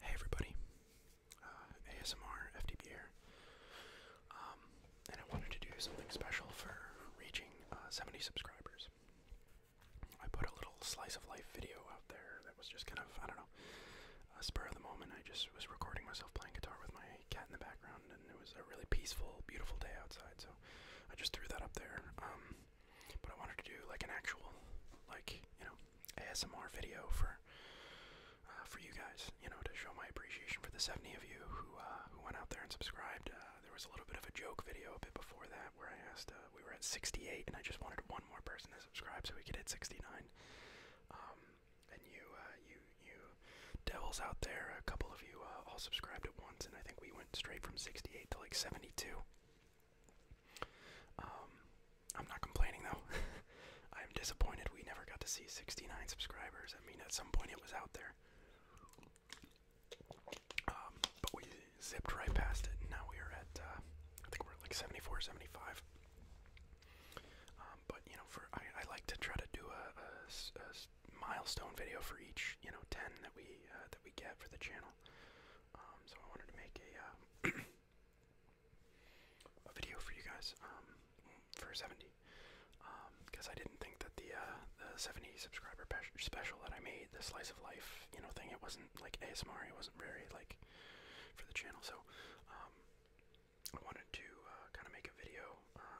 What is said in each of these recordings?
Hey everybody, uh, ASMR FDB here, um, and I wanted to do something special for reaching uh, 70 subscribers. I put a little slice of life video out there that was just kind of, I don't know, a spur of the moment. I just was recording myself playing guitar with my cat in the background, and it was a really peaceful, beautiful day outside, so I just threw that up there. Um, but I wanted to do like an actual, like you know, ASMR video for uh, for you guys, you know, to show my appreciation for the 70 of you who uh, who went out there and subscribed. Uh, there was a little bit of a joke video a bit before that where I asked. we were at 68, and I just wanted one more person to subscribe so we could hit 69. Um, and you, you, you devils out there, a couple of you all subscribed at once, and I think we went straight from 68 to like 72. Um, I'm not complaining though. I'm disappointed we never got to see 69 subscribers. I mean, at some point it was out there. Um, but we zipped right past it, and now we are at, uh, I think we're like 74, 75. Um, but, you know, for I, like to try to do a, milestone video for each, you know, 10 that we, uh, that we get for the channel. Um, so I wanted to make a uh, a video for you guys um, for 70 because um, I didn't think that the uh, the 70 subscriber special that I made, the slice of life, you know, thing, it wasn't like ASMR. It wasn't very like for the channel. So I wanted to uh, kind of make a video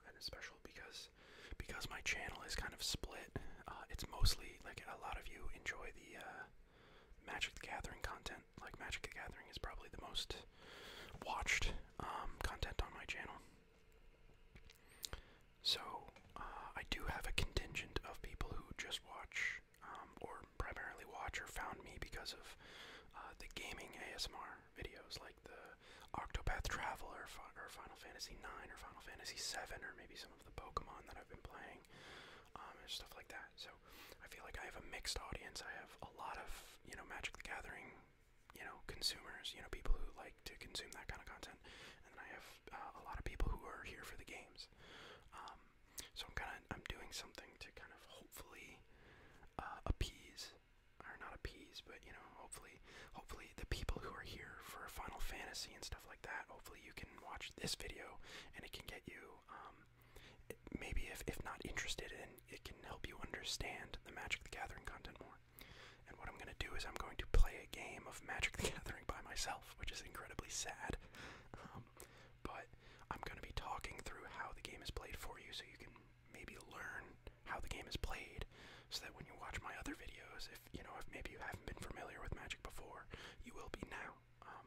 and a special because because my channel is kind of split uh, it's mostly like a lot of you enjoy the uh, Magic the Gathering content. Like Magic the Gathering is probably the most watched um, content on my channel. So uh, I do have a contingent of people who just watch, um, or primarily watch, or found me because of the gaming ASMR videos, like the Octopath Traveler, or Final Fantasy IX, or Final Fantasy VII, or maybe some of the Pokemon that I've been playing. Um, and stuff like that. So I feel like I have a mixed audience. I have a lot of you know Magic the Gathering, you know consumers, you know people who like to consume that kind of content, and I have uh, a lot of people who are here for the games. Um, so I'm kind of I'm doing something to kind of hopefully uh, appease or not appease, but you know hopefully hopefully the people who are here for Final Fantasy and stuff like that. Hopefully you can watch this video and it can get you um, maybe if, if not interested in it can help you understand the Magic the Gathering content more. And what I'm going to do is I'm going to play a game of Magic the Gathering by myself, which is incredibly sad. Um, but I'm going to be talking through how the game is played for you so you can maybe learn how the game is played so that when you watch my other videos, if you know if maybe you haven't been familiar with Magic before, you will be now. Um,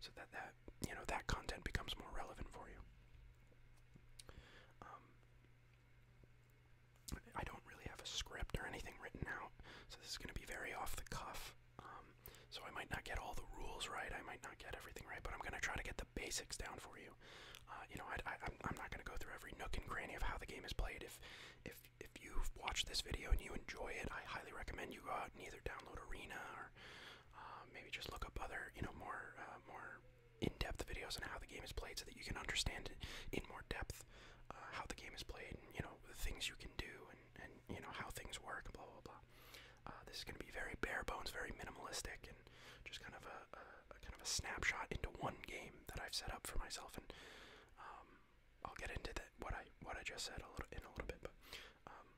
so that that you know that content becomes more relevant for you. Um, I don't really have a script or anything written out, so this is going to be very off the cuff. Um, so I might not get all the rules right. I might not get everything right, but I'm going to try to get the basics down for you. Uh, you know, I, I'm not going to go through every nook and cranny of how the game is played. If if if you've watched this video and you enjoy it, I highly recommend you go out and either download Arena or uh, maybe just look up other, you know, more uh, more in-depth videos on how the game is played, so that you can understand in more depth uh, how the game is played, and you know the things you can do, and you know how things work, blah blah blah. this is going to be very bare bones, very minimalistic, and just kind of a, kind of a snapshot into one game that I've set up for myself, and um, I'll get into that what I what I just said a little in a little bit, but um,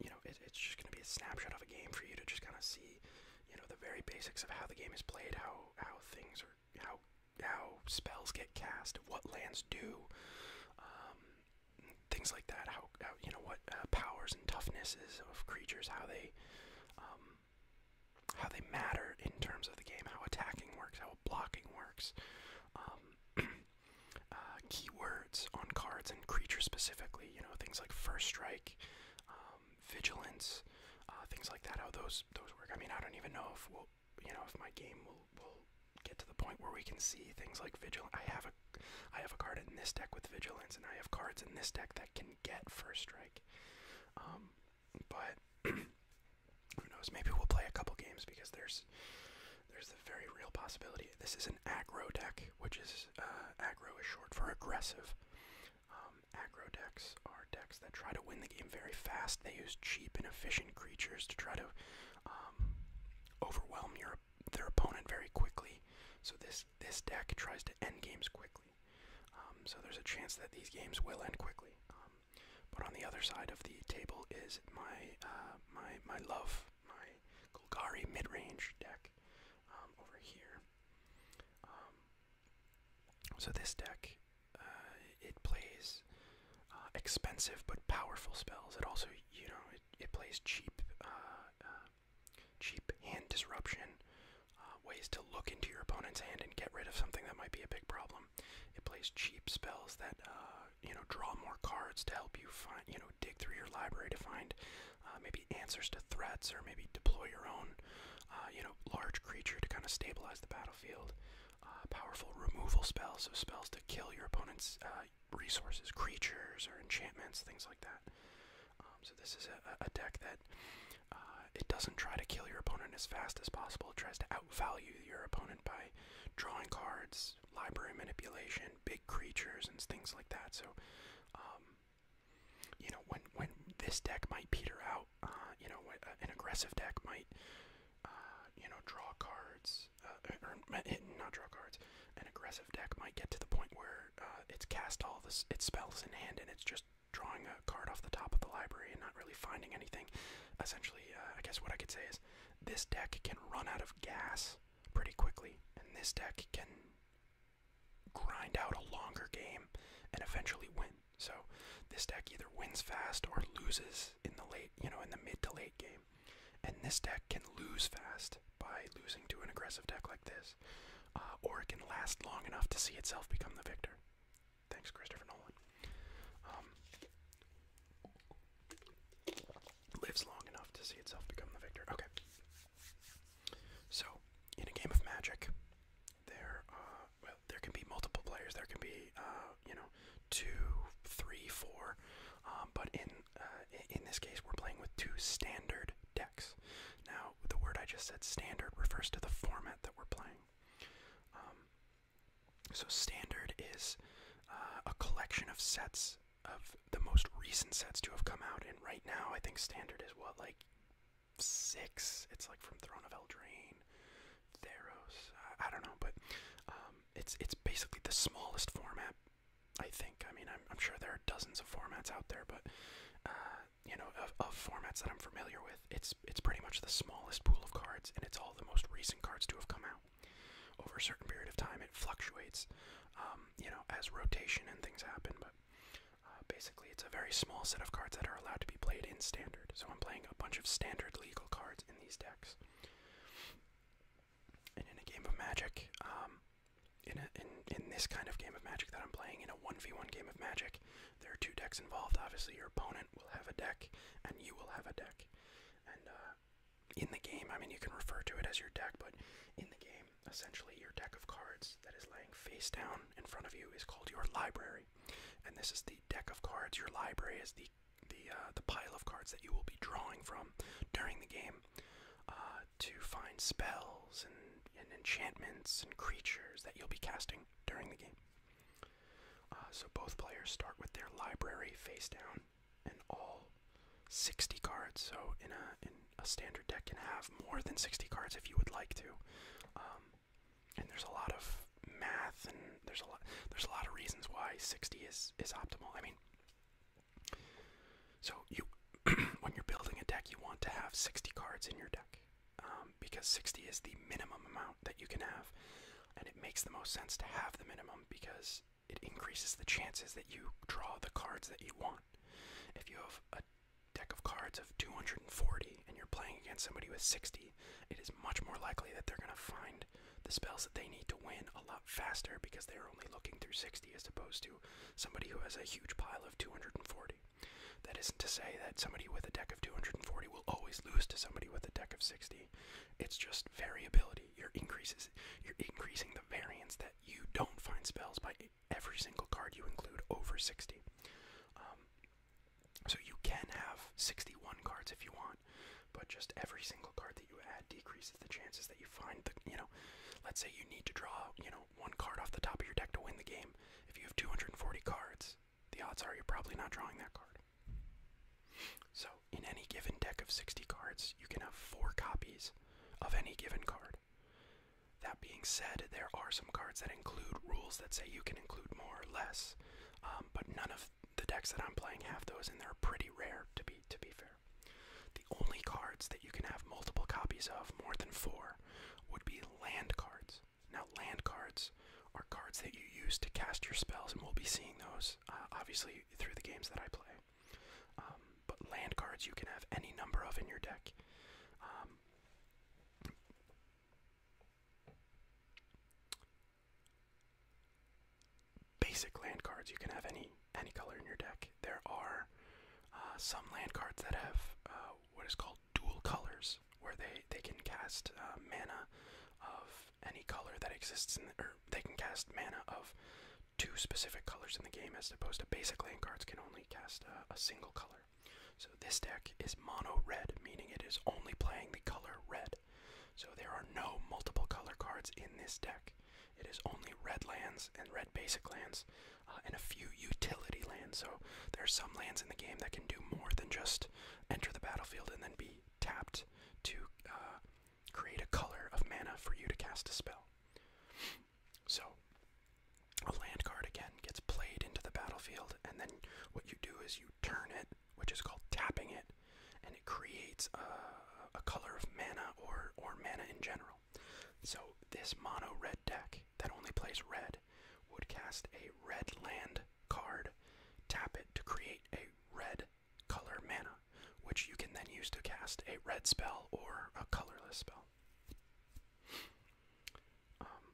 you know it's just gonna be a snapshot of a game for you to just kind of see, you know, the very basics of how the game is played, how how things are, how how spells get cast, what lands do, um, things like that. How, you know what uh, powers and toughnesses of creatures, how they um, how they matter in terms of the game, how attacking works, how blocking works, um, uh, keywords on cards and creatures specifically. You know things like first strike, um, vigilance, uh, things like that. How those those work. I mean, I don't even know if we'll, you know, if my game will will get to the point where we can see things like vigilance. I have a I have a card in this deck with vigilance, and I have cards in this deck that can get first strike. Um, but who knows? Maybe we'll play a couple games because there's there's the very real possibility. This is an aggro deck, which is uh, aggro is short for aggressive. Um, aggro decks are decks that try to win the game very fast. They use cheap and efficient creatures to try to um, overwhelm your their opponent very quickly. So this this deck tries to end games quickly. Um, so there's a chance that these games will end quickly. Um, but on the other side of the table is my uh, my my love, my Golgari mid-range deck um, over here. Um, so this deck uh, it plays uh, expensive but powerful spells. It also you know it, it plays cheap cheap hand disruption. ways to look into your opponent's hand and get rid of something that might be a big problem. It plays cheap spells that uh, you know, draw more cards to help you find, you know, dig through your library to find uh, maybe answers to threats, or maybe deploy your own, uh, you know, large creature to kind of stabilize the battlefield. Uh, powerful removal spells, so spells to kill your opponent's uh, resources, creatures, or enchantments, things like that. Um, so this is a, a deck that uh, it doesn't try to kill your opponent as fast as possible. It tries to outvalue your opponent by drawing cards, library manipulation, big creatures, and things like that. So, um, you know, when when this deck might peter out, uh, you know, when, uh, an aggressive deck might, uh, you know, draw cards, uh, or uh, eh, not draw cards. An aggressive deck might get to the point where uh, it's cast all this its spells in hand, and it's just drawing a card off the top of the library and not really finding anything. Essentially, uh, I guess what I could say is this deck can run out of gas pretty quickly, and this deck can grind out a longer game and eventually win. So this deck either wins fast or loses in the late, you know, in the mid to late game. And this deck can lose fast by losing to an aggressive deck like this, uh, or it can last long enough to see itself become the victor. Thanks, Christopher Nolan. Um, lives long enough to see itself become the victor. Okay. So, in a game of Magic, there, uh, well, there can be multiple players. There can be, uh, you know, two, three, four. Um, but in uh, in this case, we're playing with two standard decks. Now, the word I just said, standard, refers to the format that we're playing. Um, so standard is uh, a collection of sets of the most recent sets to have come out, and right now I think standard is what like six. It's like from Throne of Eldraine, Theros. I, don't know, but um, it's it's basically the smallest format. I think. I mean, I'm, sure there are dozens of formats out there, but uh, you know, of, of formats that I'm familiar with, it's it's pretty much the smallest pool of cards, and it's all the most recent cards to have come out over a certain period of time. It fluctuates, um, you know, as rotation and things happen. But uh, basically, it's a very small set of cards that are allowed to be played in standard. So I'm playing a bunch of standard legal cards in these decks. And in a game of Magic, um, in, in this kind of game of Magic that I'm playing, in a one v one game of Magic, there are two decks involved. Obviously, your opponent will have a deck, and you will have a deck, uh, in the game, I mean, you can refer to it as your deck, but in the game, essentially, your deck of cards that is laying face down in front of you is called your library, and this is the deck of cards. Your library is the the uh, the pile of cards that you will be drawing from during the game uh, to find spells and, and enchantments and creatures that you'll be casting during the game. Uh, so both players start with their library face down, in all 60 cards. So in a in a standard deck can have more than 60 cards if you would like to. Um, and there's a lot of math and there's a lot there's a lot of reasons why 60 is is optimal. I mean, so you when you're building a deck, you want to have 60 cards in your deck um, because 60 is the minimum amount that you can have, and it makes the most sense to have the minimum because it increases the chances that you draw the cards that you want. If you have a deck of cards of 240 and you're playing against somebody with 60, it is much more likely that they're going to find the spells that they need to win a lot faster because they're only looking through 60 as opposed to somebody who has a huge pile of 240. That isn't to say that somebody with a deck of 240 will always lose to somebody with a deck of 60. It's just variability you're increasing the variance that you don't find spells by every single card you include over 60. Um, so you can have 61 cards if you want, but just every single card that you add decreases the chances that you find the you know, let's say you need to draw you know one card off the top of your deck to win the game. If you have 240 cards, the odds are you're probably not drawing that card. So in any given deck of 60 cards, you can have four copies of any given card. That being said, there are some cards that include rules that say you can include more or less, um, but none of the decks that I'm playing have those, and they're pretty rare to be to be fair. The only cards that you can have multiple copies of, more than four, would be land cards. Now, land cards are cards that you use to cast your spells, and we'll be seeing those uh, obviously through the games that I play. Um, but land cards you can have any number of in your deck. Um, basic land cards you can have any any color in your deck. There are uh, some land cards that have uh, what is called dual colors, where they they can cast mana of any color that exists in the, or they can cast mana of two specific colors in the game, as opposed to basic land cards can only cast a single color. So this deck is mono red, meaning it is only playing the color red. So there are no multiple color cards in this deck. It is only red lands and red basic lands uh, and a few utility lands. So there are some lands in the game that can do more than just enter the battlefield and then be tapped to uh, Create a color of mana for you to cast a spell. So, a land card again gets played into the battlefield, and then what you do is you turn it, which is called tapping it, and it creates a, color of mana or, or mana in general. So, this mono red deck that only plays red would cast a red land card, tap it to create a red color mana, which you can then use to cast a red spell or a colorless spell. Um,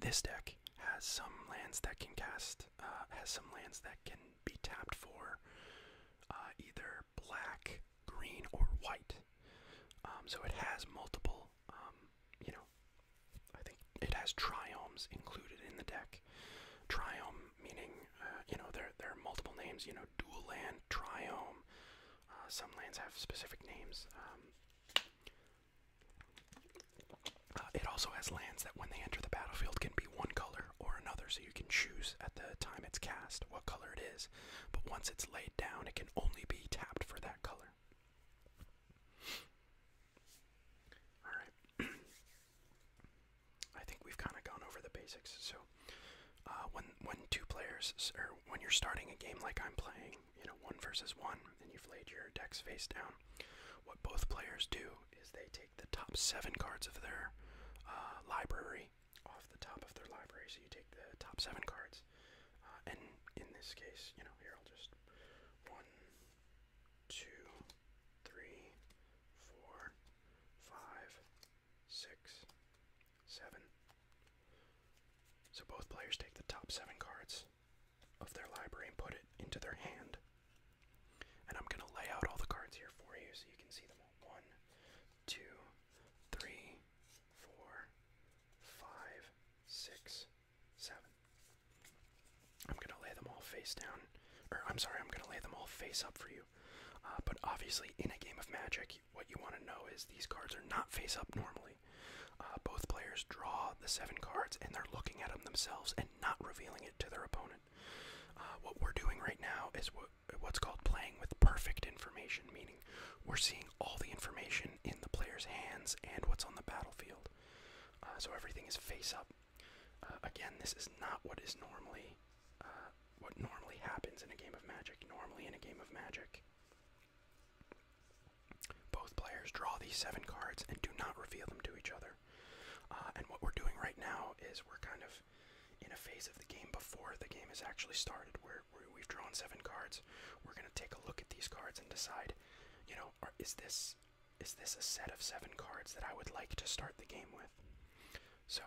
this deck has some lands that can cast, uh, has some lands that can be tapped for uh, either black, green, or white. Um, so it has multiple, um, you know, I think it has triomes included in the deck. Triome meaning uh, you know there there are multiple names. You know, dual land, triome. Uh, some lands have specific names. Um, uh, it also has lands that, when they enter the battlefield, can be one color or another, so you can choose at the time it's cast what color it is. But once it's laid down, it can only be tapped for that color. Alright. I think we've kind of gone over the basics. So, uh, when when two players or when you're starting a game like I'm playing, you know, one versus one, and you've laid your decks face down, what both players do is they take the top seven cards of their uh, library off the top of their library. So you take the top seven cards, uh, and in this case, you know, here I'll just one, two, three, four, five, six, seven. So both players take the top seven cards of their library and put it into their hand. And I'm going to lay out all the cards here for you so you can see them One, two, three, four, five, six, seven. I'm gonna lay them all face down, or I'm sorry, I'm gonna lay them all face up for you. Uh, but obviously, in a game of Magic, what you want to know is these cards are not face up normally. Uh, both players draw the seven cards and they're looking at them themselves and not revealing it to their opponent. Uh, what we're doing right now is what's called playing with perfect information, meaning we're seeing all the information in the player's hands and what's on the battlefield. so everything is face up. Uh, again, this is not what is normally uh, what normally happens in a game of Magic. Normally, in a game of Magic, both players draw these seven cards and do not reveal them to each other. Uh, and what we're doing right now is we're kind of in a phase of the game before the game has actually started, where we've drawn seven cards. We're going to take a look at these cards and decide, you know, is this is this a set of seven cards that I would like to start the game with? So,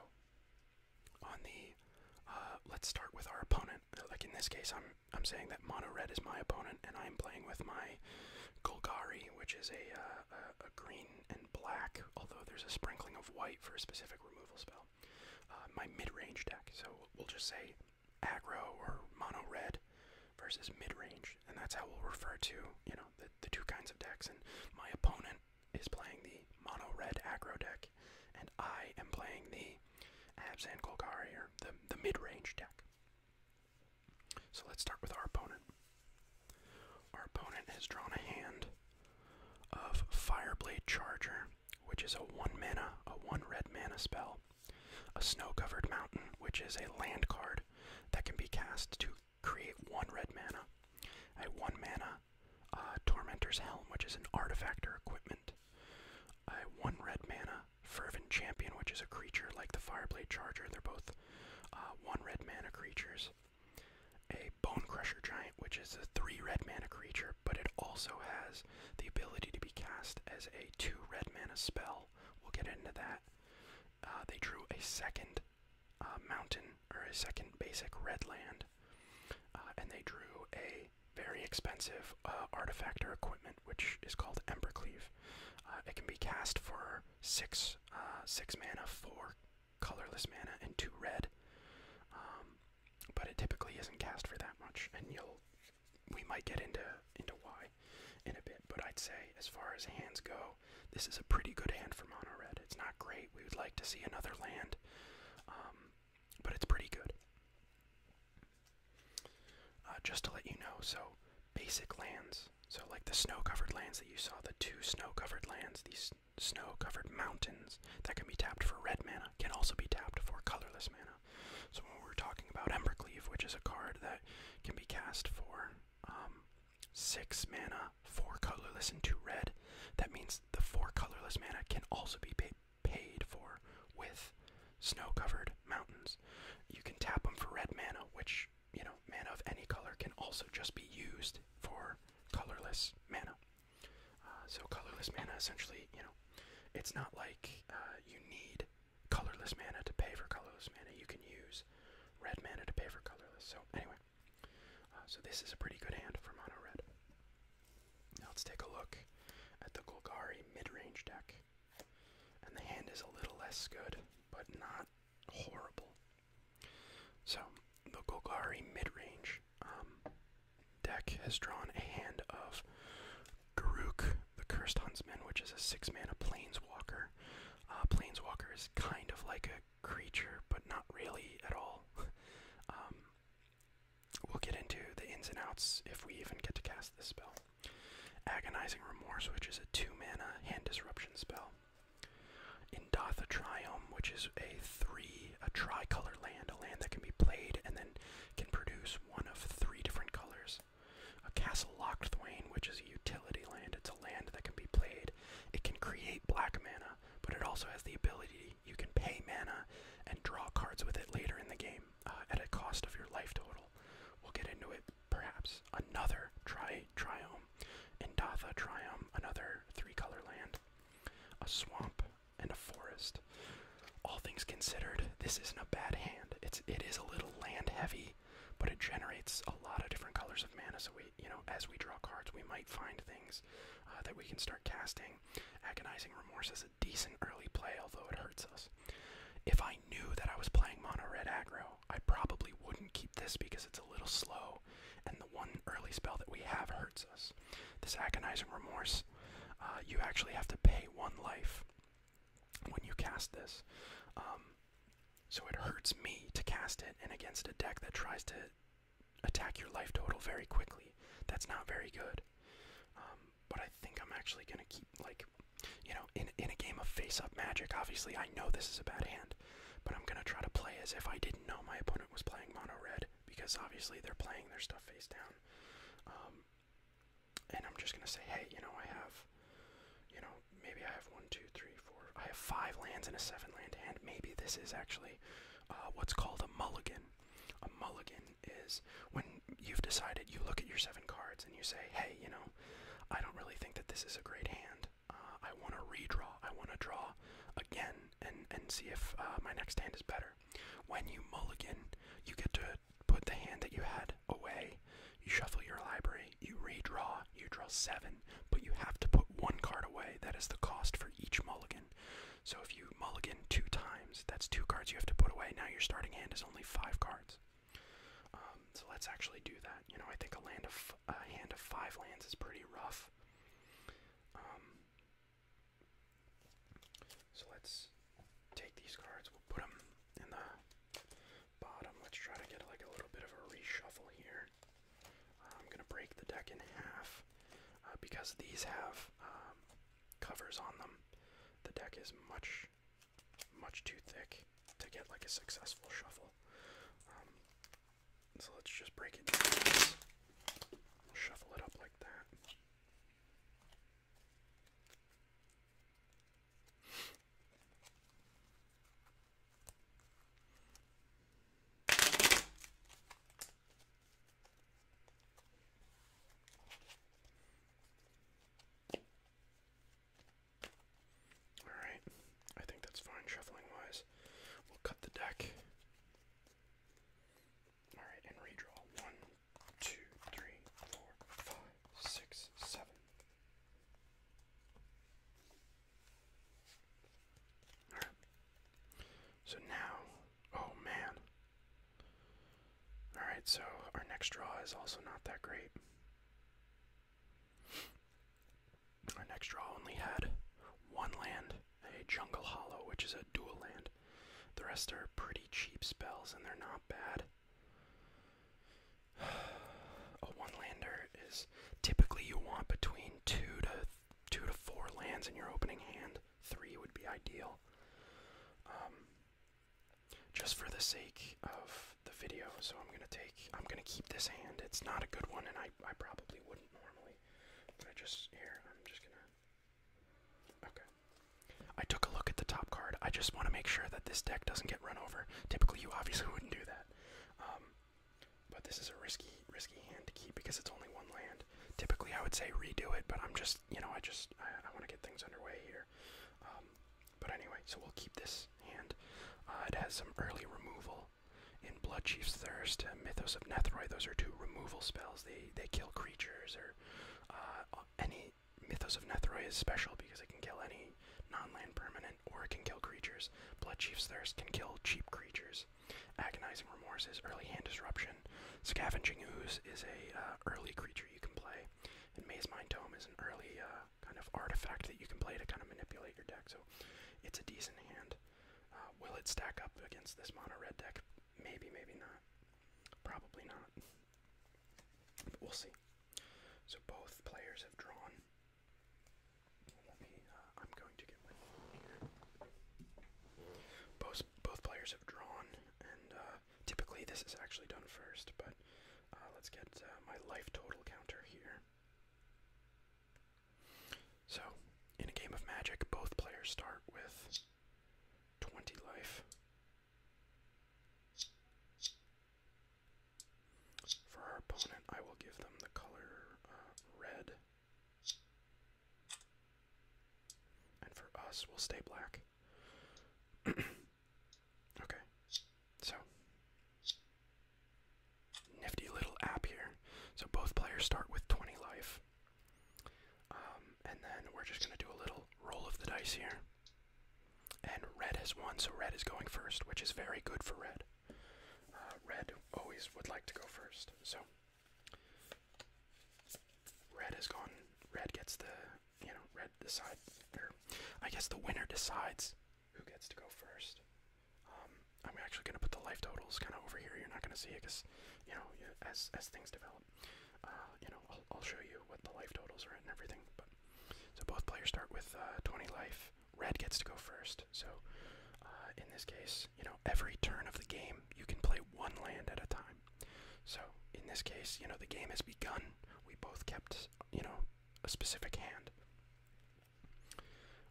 on the uh, let's start with our opponent. Like in this case, I'm I'm saying that mono red is my opponent, and I'm playing with my Golgari, which is a, uh, a, green and black, although there's a sprinkling of white for a specific removal spell. Uh, my mid-range deck, so we'll just say aggro or mono red versus mid-range, and that's how we'll refer to you know the the, two kinds of decks, and my opponent is playing the mono red aggro deck, and I am playing the Abzan Golgari, or the, the mid range deck. So let's start with our opponent. Our opponent has drawn a hand of Fireblade Charger, which is a 1 mana, a 1 red mana spell. A Snow Covered Mountain, which is a land card that can be cast to create one red mana. A one mana uh, Tormentor's Helm, which is an artifact or equipment. I one red mana Fervent Champion, which is a creature like the Fireblade Charger. They're both uh, one red mana creatures. A Bone Crusher Giant, which is a three red mana creature, but it also has the ability to be cast as a two red mana spell. We'll get into that. Uh, they drew a second uh, mountain or a second basic red land, uh, and they drew a very expensive uh, artifact or equipment which is called Embercleave. Uh, it can be cast for six, uh, six mana, four colorless mana, and two red. Um, but it typically isn't cast for that much, and you'll we might get into into why in a bit. But I'd say as far as hands go, this is a pretty good hand for mono red. It's not great. We would like to see another land, um, but it's pretty good. Uh, just to let you know, so basic lands, so like the snow-covered lands that you saw, the two snow-covered lands, these snow-covered mountains that can be tapped for red mana, can also be tapped for colorless mana. So when we're talking about Embercleave, which is a card that can be cast for um, six mana, four colorless, and two red. That means the four colorless mana can also be paid for with snow covered mountains. You can tap them for red mana, which, you know, mana of any color can also just be used for colorless mana. Uh, so, colorless mana essentially, you know, it's not like uh, you need colorless mana to pay for colorless mana. You can use red mana to pay for colorless. So, anyway. Uh, so this is a pretty good hand for mono red. Now let's take a look at the Golgari mid-range deck. And the hand is a little less good, but not horrible. So the Golgari mid-range um, deck has drawn a hand of Garuk, the Cursed Huntsman, which is a six-mana Planeswalker. Uh, Planeswalker is kind of like a creature, but not really at all. Um, we'll get into the ins and outs if we even get to cast this spell. Agonizing Remorse, which is a 2 mana hand disruption spell. In a Triome, which is a 3, a tricolor land, a land that can be played and then can produce one of three different colors. A Castle Locked Lockthwain, which is a utility land, it's a land that can be played. It can create black mana, but it also has the ability you can pay mana and draw cards with it later in the game uh, at a cost of your life total. We'll get into it perhaps. Another tri Triome, Indatha Trium, another three color land, a swamp, and a forest. All things considered, this isn't a bad hand. It's it is a little land heavy, but it generates a lot of different colors of mana, so we you know, as we draw cards, we might find things uh, that we can start casting. Agonizing Remorse is a decent early play, although it hurts us. If I knew that I was playing mono red aggro, I probably wouldn't keep this because it's a little slow, and the one early spell that we have hurts us. This Agonizing Remorse, uh, you actually have to pay one life when you cast this. Um, so it hurts me to cast it, and against a deck that tries to attack your life total very quickly. That's not very good. Um, but I think I'm actually gonna keep like, you know, in in a game of face-up magic. Obviously, I know this is a bad hand, but I'm gonna try to play as if I didn't know my opponent was playing mono red because obviously they're playing their stuff face down. Um, and I'm just gonna say, hey, you know, I have, you know, maybe I have one, two, three, four. I have five lands and a seven land hand. Maybe this is actually uh, what's called a mulligan. A mulligan is when you've decided you look at your seven cards and you say, hey, you know, I don't really think that this is a great hand. Uh, I want to redraw. I want to draw again and, and see if uh, my next hand is better. When you mulligan, you get to put the hand that you had away, you shuffle your library, you redraw, you draw seven, but you have to put one card away. That is the cost for each mulligan. So if you mulligan two times, that's two cards you have to put away. Now your starting hand is only five cards. Um, so let's actually do that. You know, I think a land of hand of five lands is pretty rough. Um, so let's take these cards. We'll put them in the bottom. Let's try to get like a little bit of a reshuffle here. I'm going to break the deck in half uh, because these have um, covers on them. The deck is much, much too thick to get like a successful shuffle. Um, so let's just break it down. Shuffle it up like that. Alright, I think that's fine shuffling wise. We'll cut the deck. Alright, and redraw. One, two, three, four, five, six, seven. So now, oh man. Alright, so our next draw is also not that great. Our next draw only had one land, a Jungle Hollow, which is a dual land. The rest are pretty cheap spells, and they're not bad. A one lander is typically you want between two to two to four lands in your opening hand. Three would be ideal. Um, just for the sake of the video, so I'm gonna take, I'm gonna keep this hand. It's not a good one, and I, I probably wouldn't normally. But I just here, I'm just gonna. Okay. I took a look at the top card. I just want to make sure that this deck doesn't get run over. Typically, you obviously wouldn't do that. Um, but this is a risky, risky hand to keep because it's only one land. Typically, I would say redo it, but I'm just, you know, I just, I, want to get things underway here. Um, but anyway, so we'll keep this hand. Uh, it has some early removal in Bloodchief's Thirst, uh, Mythos of Nethroi. Those are two removal spells. They they kill creatures or uh, any Mythos of Nethroi is special because it can kill any non-land permanent or it can kill creatures. Bloodchief's Thirst can kill cheap creatures. Agonizing remorse is early hand disruption. Scavenging ooze is a uh, early creature you can play, and Maze Mind Tome is an early uh, kind of artifact that you can play to kind of manipulate your deck. So it's a decent hand. Uh, will it stack up against this mono red deck? Maybe, maybe not. Probably not. But we'll see. So both players have drawn. Uh, I'm going to get Both, both players have drawn, and uh, typically this is actually done first, but uh, let's get my life total counter here. So, in a game of magic, both players start with 20 life. For our opponent, I will give them the color red. And for us, we'll stay black. okay. So. Nifty little app here. So both players start with 20 life. Um, and then we're just going to do a little roll of the dice here. And red has won, so red is going first, which is very good for red. Uh, red always would like to go first. So Red has gone. Red gets the, you know, red decide. Or I guess the winner decides who gets to go first. Um, I'm actually gonna put the life totals kind of over here. You're not gonna see it because, you know, as as things develop, uh, you know, I'll, show you what the life totals are and everything. But so both players start with uh, 20 life. Red gets to go first. So, uh, in this case, you know, every turn of the game, you can play one land at a time. So, in this case, you know, the game has begun. We both kept, you know, a specific hand.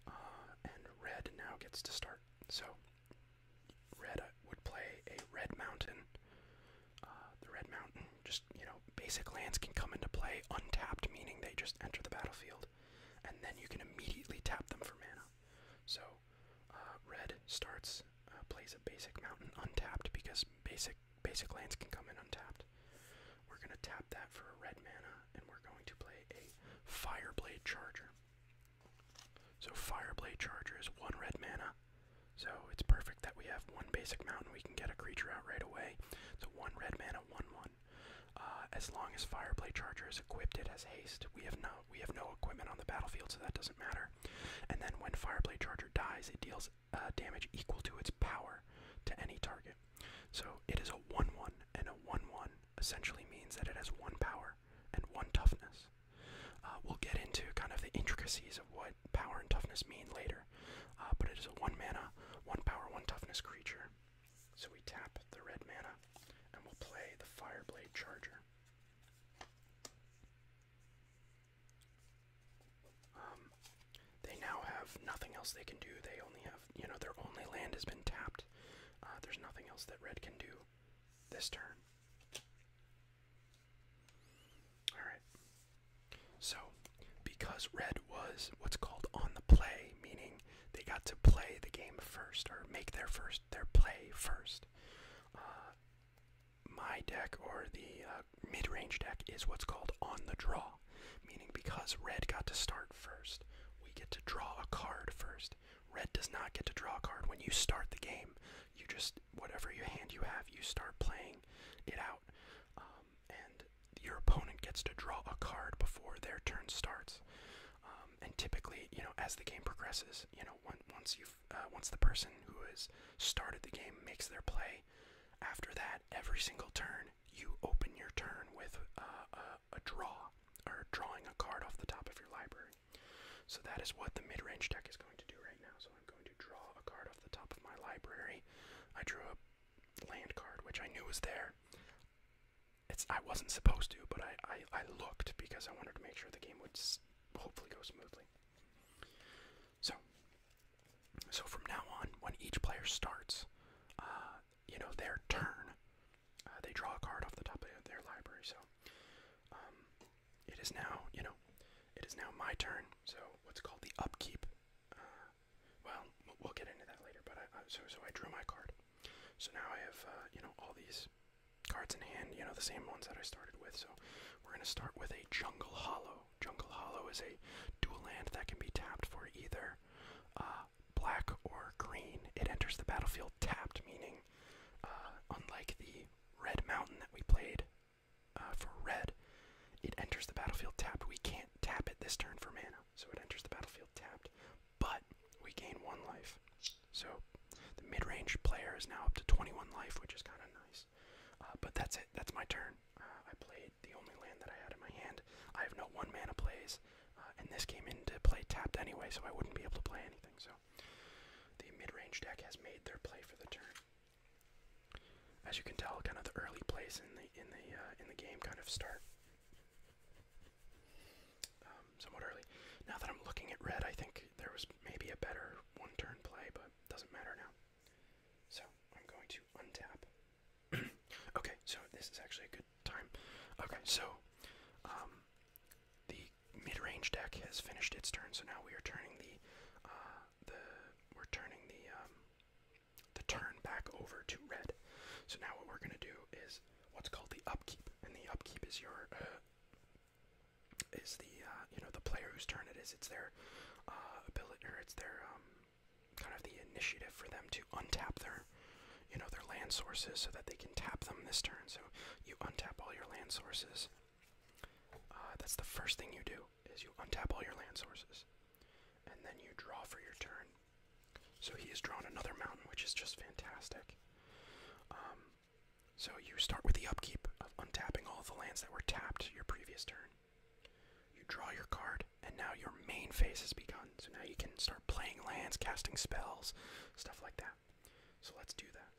Uh, and red now gets to start. So, red uh, would play a red mountain. the red mountain, just, you know, basic lands can come into play untapped, meaning they just enter the battlefield. And then you can immediately tap them for mana. So uh, red starts uh, plays a basic mountain untapped because basic basic lands can come in untapped. We're gonna tap that for a red mana, and we're going to play a Fireblade Charger. So Fireblade Charger is one red mana. So it's perfect that we have one basic mountain. We can get a creature out right away. So one red mana, one one. Uh, as long as Fireblade Charger is equipped, it has haste. We have no we have no equipment on the battlefield, so that doesn't matter. And then when Fireblade Charger dies, it deals uh, damage equal to its power to any target. So it is a 1-1, and a 1-1 essentially means that it has one power and one toughness. Uh, we'll get into kind of the intricacies of what power and toughness mean later, but it is a 1 mana, 1 power, 1 toughness creature. So we tap the red mana and we'll play the Fireblade Charger. Um, they now have nothing else they can do. They only have, you know, their only land has been tapped. Uh, there's nothing else that red can do this turn. Alright. So, because red was what's called on the play, meaning they got to play the game first or make their first their play first. Uh, my deck or the uh, mid-range deck is what's called on the draw, meaning because red got to start first, we get to draw a card first. Red does not get to draw a card when you start the game. You just whatever your hand you have, you start playing it out, um, and your opponent gets to draw a card before their turn starts. Um, um, and typically, you know, as the game progresses, you know, once you uh, once the person who has started the game makes their play, after that, every single turn you open your turn with uh, a draw or drawing a card off the top of your library. So that is what the mid-range deck is going to do right now. So I'm going to draw a card off the top of my library. I drew a land card, which I knew was there it's I wasn't supposed to, but I, I, looked because I wanted to make sure the game would hopefully go smoothly. So, so from now on, when each player starts, uh, you know their turn, uh, they draw a card off the top of their library. So, um, it is now you know, it is now my turn. So what's called the upkeep. Uh, well, we'll get into that later. But I, so so I drew my card. So now I have uh, you know all these cards in hand, you know, the same ones that I started with. So we're going to start with a Jungle Hollow. Jungle Hollow is a dual land that can be tapped for either uh, black or green. It enters the battlefield tapped, meaning, uh, unlike the Red Mountain that we played uh, for red, it enters the battlefield tapped. We can't tap it this turn for mana, so it enters the battlefield tapped but we gain one life. So the mid-range player is now up to 21 life, which is kind of nice. Uh, but that's it. That's my turn. Uh, I played the only land that I had in my hand. I have no one mana plays, uh, and this came into play tapped anyway, so I wouldn't be able to play anything. So the mid-range deck has made their play for the turn. As you can tell, kind of the early plays in the in the in the game kind of start. Um, somewhat early. Now that I'm looking at red, I think there was maybe a better one-turn play, but doesn't matter now. So I'm going to untap. okay, so this is actually a good time. Okay, so um, the mid-range deck has finished its turn, so now we are turning the uh, the we're turning the um, the turn back over to red. So now what we're gonna do is what's called the upkeep, and the upkeep is your uh, is the uh, you know the player whose turn it is. It's their uh, ability, or it's their um, kind of the initiative for them to untap their you know their land sources so that they can tap them this turn. So you untap all your land sources. Uh, that's the first thing you do is you untap all your land sources, and then you draw for your turn. So he has drawn another mountain, which is just fantastic. Um, so you start with the upkeep of untapping all the lands that were tapped your previous turn. You draw your card, and now your main phase has begun. So now you can start playing lands, casting spells, stuff like that. So let's do that.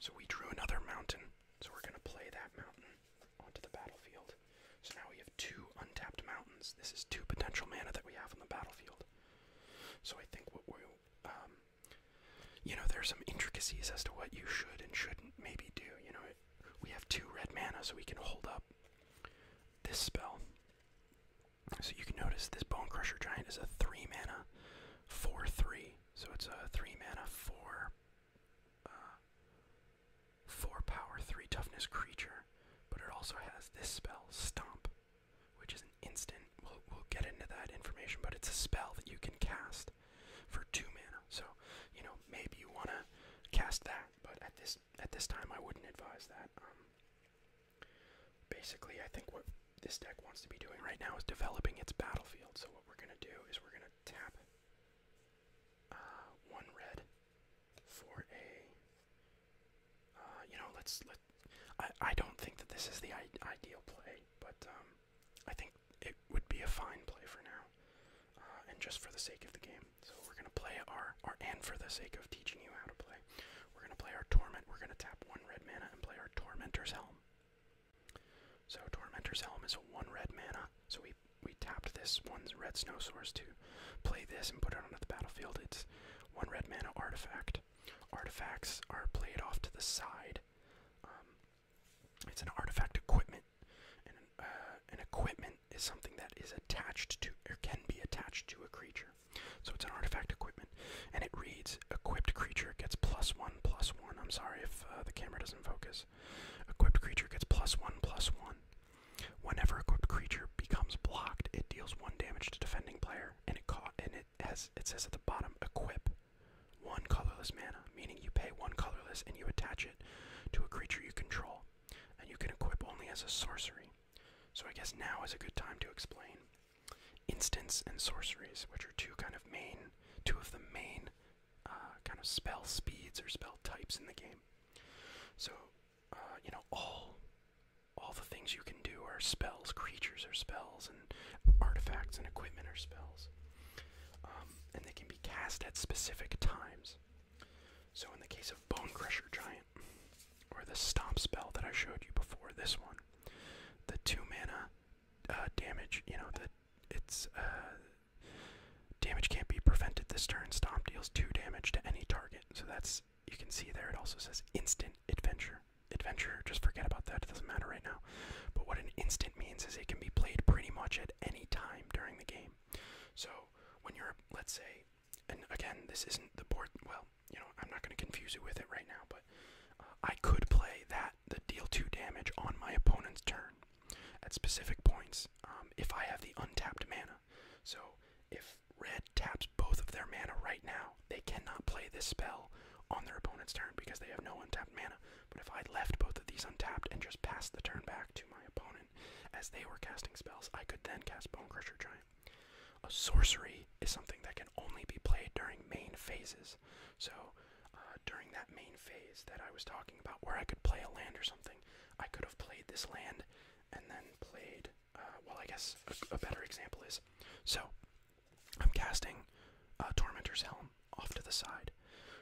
So we drew another mountain, so we're going to play that mountain onto the battlefield. So now we have two untapped mountains. This is two potential mana that we have on the battlefield. So I think what we'll, um, you know, there are some intricacies as to what you should and shouldn't maybe do. You know, we have two red mana, so we can hold up this spell. So you can notice this Bone Crusher Giant is a three mana, four three. So it's a three mana, four, uh, four power, three toughness creature. But it also has this spell, Stomp which is an instant. We'll, get into that information, but it's a spell that you can cast for two mana. So, you know, maybe you want to cast that, but at this at this time, I wouldn't advise that. Um, basically, I think what this deck wants to be doing right now is developing its battlefield. So what we're gonna do is we're gonna tap uh, one red for a uh, you know, let's I I don't think that this is the ideal play, but um, I think it would be a fine play for now, uh, and just for the sake of the game. So we're gonna play our our and for the sake of teaching you how to play, we're gonna play our torment. We're gonna tap one red mana and play our tormentor's helm. So tormentor's helm is a one red mana. So we we tapped this one red snow source to play this and put it onto the battlefield. It's one red mana artifact. Artifacts are played off to the side. Um, it's an artifact equipment, and uh, an, equipment is something that is attached to or can be attached to a creature. So it's an artifact equipment, and it reads: equipped creature gets plus one plus one. I'm sorry if uh, the camera doesn't focus. Equipped creature gets plus one plus one. Whenever equipped creature becomes blocked, it deals one damage to defending player, and it caught in and as it says at the bottom equip one colorless mana, meaning you pay one colorless and you attach it to a creature you control, and you can equip only as a sorcery. So I guess now is a good time to explain instants and sorceries, which are two kind of main, two of the main uh, kind of spell speeds or spell types in the game. So uh, you know all all the things you can do are spells. Creatures are spells, and artifacts and equipment are spells. Um, and they can be cast at specific times. So, in the case of Bone Crusher Giant, or the Stomp spell that I showed you before, this one, the two mana uh, damage, you know, the it's uh, damage can't be prevented this turn. Stomp deals two damage to any target. So that's you can see there. It also says instant adventure adventure, just forget about that, it doesn't matter right now. But what an instant means is it can be played pretty much at any time during the game. So when you're, let's say, and again, this isn't the board, well, you know, I'm not going to confuse you with it right now, but uh, I could play that, the deal 2 damage on my opponent's turn at specific points um, if I have the untapped mana. So if red taps both of their mana right now, they cannot play this spell on their opponent's turn because they have no untapped mana. But if I left both of these untapped and just passed the turn back to my opponent as they were casting spells, I could then cast Bone Crusher Giant. A sorcery is something that can only be played during main phases. So, uh, during that main phase that I was talking about, where I could play a land or something, I could have played this land and then played. Uh, well, I guess a better example is so I'm casting uh, Tormentor's Helm off to the side.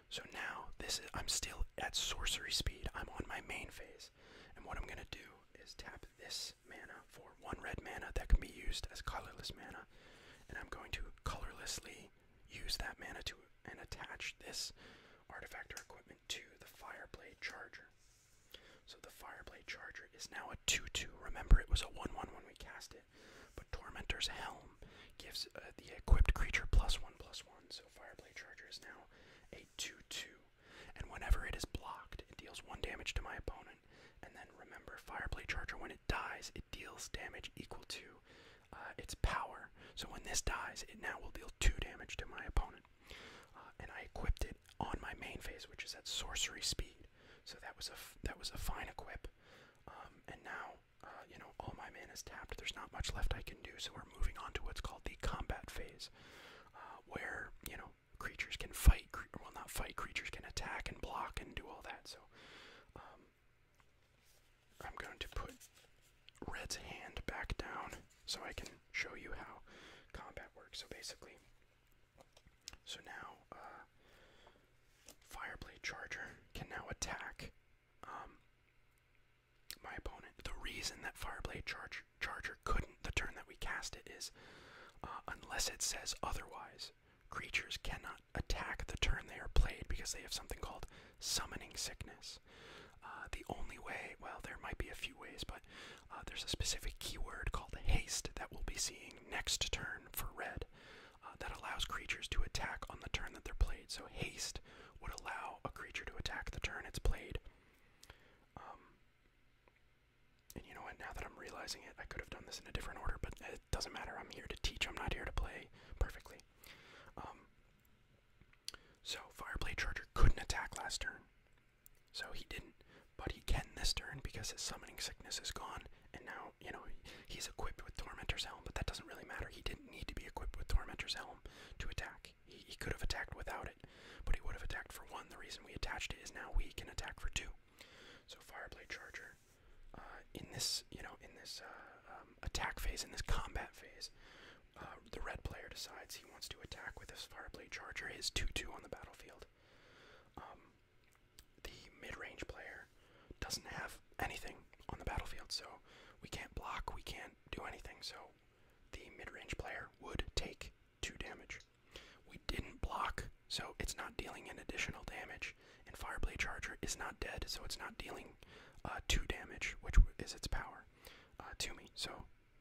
So now this is I'm still at sorcery speed. I'm on my main phase. And what I'm gonna do is tap this mana for one red mana that can be used as colorless mana. And I'm going to colorlessly use that mana to and attach this artifact or equipment to the Fireblade Charger. So the Fireblade Charger is now a 2-2. Remember, it was a 1-1 when we cast it. But Tormentor's Helm gives uh, the equipped creature plus 1, plus 1. So Fireblade Charger is now a 2-2. And whenever it is blocked, it deals 1 damage to my opponent. And then remember, Fireblade Charger, when it dies, it deals damage equal to uh, its power. So when this dies, it now will deal 2 damage to my opponent. Uh, and I equipped it on my main phase, which is at sorcery speed. So that was a that was a fine equip. Um, and now, uh, you know, all my mana is tapped. There's not much left I can do, so we're moving on to what's called the combat phase, uh, where you know creatures can fight. well, not fight. Creatures can attack and block and do all that. So um, I'm going to put Red's hand back down so I can show you how combat works. So basically, so now, uh, Fireblade Charger can now attack um, my opponent. The reason that Fireblade Charger couldn't the turn that we cast it is uh, unless it says otherwise. Creatures cannot attack the turn they are played because they have something called summoning sickness. Uh, the only way, well, there might be a few ways, but there's a specific keyword called haste that we'll be seeing next turn for red. Uh, that allows creatures to attack on the turn that they're played. So haste would allow a creature to attack the turn it's played. Um, and you know what? Now that I'm realizing it, I could have done this in a different order, but it doesn't matter. I'm here to teach. I'm not here to play perfectly. Um, so Fireblade Charger couldn't attack last turn, so he didn't but he can this turn because his summoning sickness is gone, and now, you know, he's equipped with Tormentor's Helm, but that doesn't really matter. He didn't need to be equipped with Tormentor's Helm to attack. He, could have attacked without it, but he would have attacked for one. The reason we attached it is now we can attack for two. So Fireblade Charger, uh, in this, you know, in this uh, um, attack phase, in this combat phase, uh, the red player decides he wants to attack with his Fireblade Charger, his 2-2 on the battlefield. Um, the mid-range player doesn't have anything on the battlefield, so we can't block, we can't do anything, so the mid-range player would take two damage. We didn't block, so it's not dealing an additional damage, and Fireblade Charger is not dead, so it's not dealing uh, two damage, which is its power uh, to me. So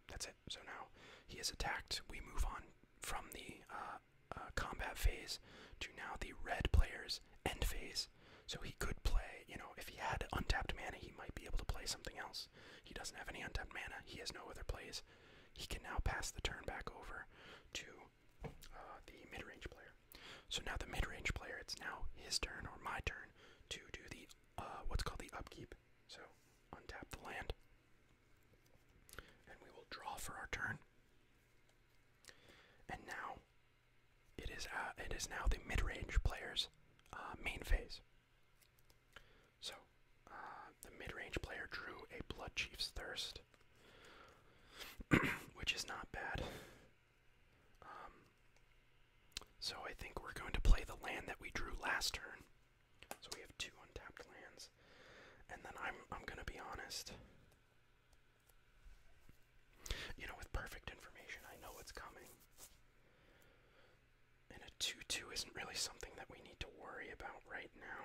that's it. So now he is attacked. We move on from the uh, uh, combat phase to now the red player's end phase. So he could play, you know, if he had untapped mana, he might be able to play something else. He doesn't have any untapped mana, he has no other plays. He can now pass the turn back over to uh, the mid range player. So now the mid range player, it's now his turn or my turn to do the uh, what's called the upkeep. So untap the land, and we will draw for our turn. And now, it is uh, it is now the mid-range player's uh, main phase. So, uh, the mid-range player drew a Blood Chief's Thirst, which is not bad. Um, so I think we're going to play the land that we drew last turn. So we have two untapped lands, and then I'm I'm gonna be honest. You know, with perfect information, I know what's coming. And a 2 2 isn't really something that we need to worry about right now.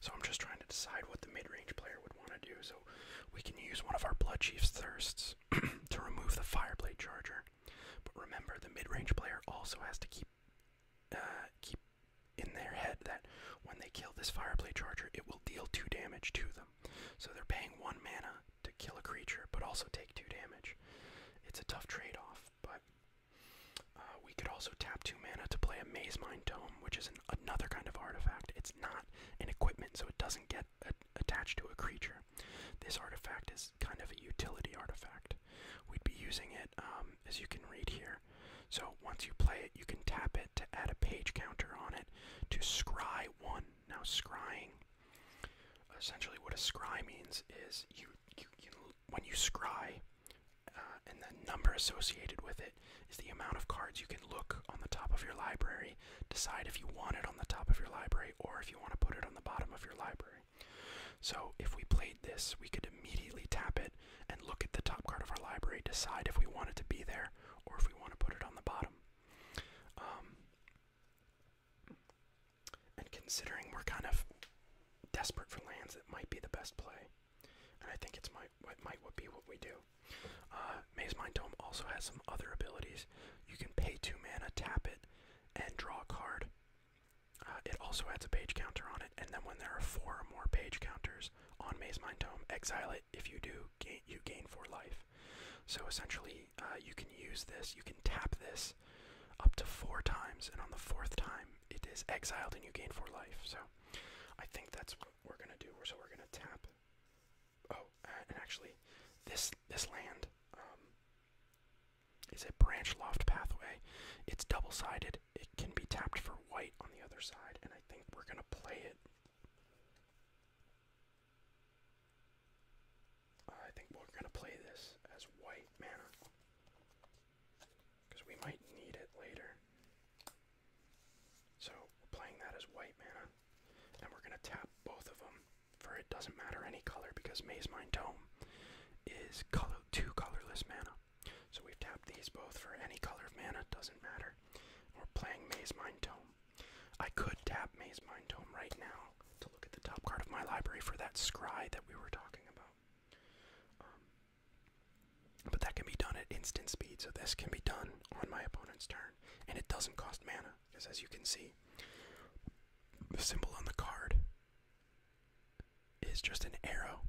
So I'm just trying to decide what the mid range player would want to do. So we can use one of our Bloodchief's Thirsts to remove the Fireblade Charger. But remember, the mid-range player also has to keep uh, keep in their head that when they kill this Fireblade Charger, it will deal two damage to them. So they're paying one mana to kill a creature, but also take two damage. It's a tough trade-off, but uh, we could also tap two mana to play a Maze Mind Tome, which is another kind of artifact. It's not an equipment, so it doesn't get attached to a creature. This artifact is kind of a utility artifact. We'd be using it, um, as you can read here. So once you play it, you can tap it to add a page counter on it to scry one. Now scrying, essentially what a scry means is you, when you scry, uh, and the number associated with it is the amount of cards you can look on the top of your library Decide if you want it on the top of your library or if you want to put it on the bottom of your library. So if we played this, we could immediately tap it and look at the top card of our library, decide if we want it to be there or if we want to put it on the bottom. Um, and considering we're kind of desperate for lands, that might be the best play. And I think it's might it might be what we do. Uh, Maze Mind Dome also has some other abilities. You can pay two mana, tap it, and draw a card. Uh, it also adds a page counter on it, and then when there are four or more page counters on Maze Mind Tome, exile it. If you do, gain, you gain for life. So essentially, uh, you can use this, you can tap this up to four times, and on the fourth time, it is exiled and you gain for life. So I think that's what we're going to do. So we're going to tap. Oh, and actually, this, this land. Um, is a branch loft pathway. It's double sided. It can be tapped for white on the other side, and I think we're going to play it. I think we're going to play this as white mana. Because we might need it later. So playing that as white mana. And we're going to tap both of them for it doesn't matter any color because Maze Mind Tome is color two colorless mana. So we've tapped these both for any color of mana, doesn't matter. We're playing Maze Mind Tome. I could tap Maze Mind Tome right now to look at the top card of my library for that scry that we were talking about. Um, but that can be done at instant speed, so this can be done on my opponent's turn. And it doesn't cost mana, because as you can see, the symbol on the card is just an arrow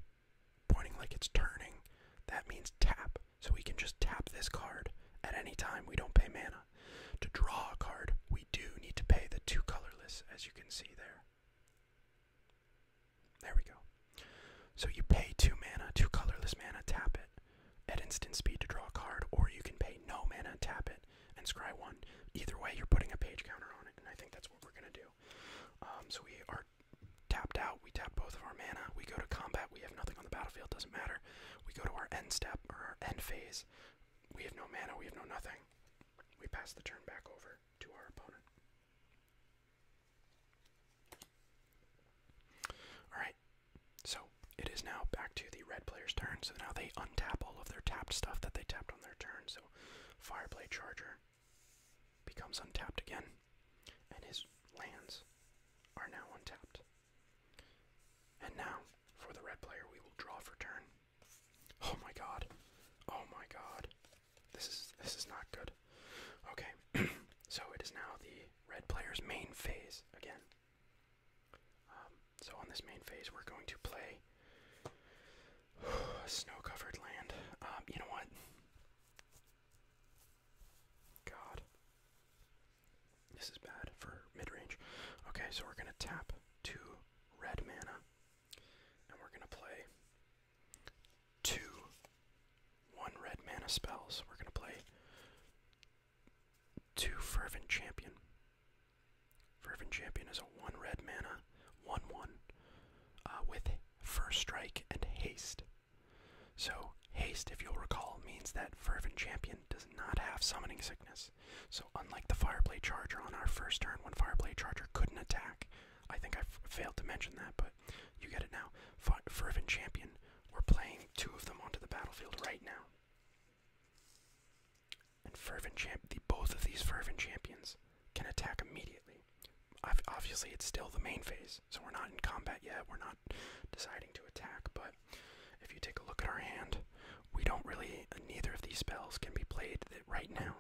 pointing like it's turning. That means tap. So we can just tap this card at any time. We don't pay mana. To draw a card, we do need to pay the two colorless, as you can see there. There we go. So you pay two mana, two colorless mana, tap it at instant speed to draw a card, or you can pay no mana and tap it and scry one. Either way, you're putting a page counter on it, and I think that's what we're gonna do. Um, so we are tapped out. We tap both of our mana. We go to combat. We have nothing on the battlefield. Doesn't matter. We go to our end step or our end phase. We have no mana. We have no nothing. We pass the turn back over to our opponent. All right. So it is now back to the red player's turn, so now they untap all of their tapped stuff that they tapped on their turn. So Fireblade Charger becomes untapped again, and his lands are now untapped. And now, for the red player, we will draw for turn. Oh my god. Oh my god. This is this is not good. Okay. so it is now the red player's main phase again. Um, so on this main phase, we're going to play snow-covered land. Um, you know what? God, this is bad for mid-range. Okay, so we're gonna tap two red mana, and we're gonna play two one red mana spells. We're gonna play two fervent champion. Fervent Champion is a 1 red mana, 1 1, uh, with First Strike and Haste. So, Haste, if you'll recall, means that Fervent Champion does not have Summoning Sickness. So, unlike the Fireblade Charger on our first turn when Fireblade Charger couldn't attack, I think I failed to mention that, but you get it now. F Fervent Champion, we're playing two of them onto the battlefield right now. And fervent champ, both of these fervent champions can attack immediately. obviously, it's still the main phase, so we're not in combat yet. We're not deciding to attack, but if you take a look at our hand, we don't really. Neither of these spells can be played right now.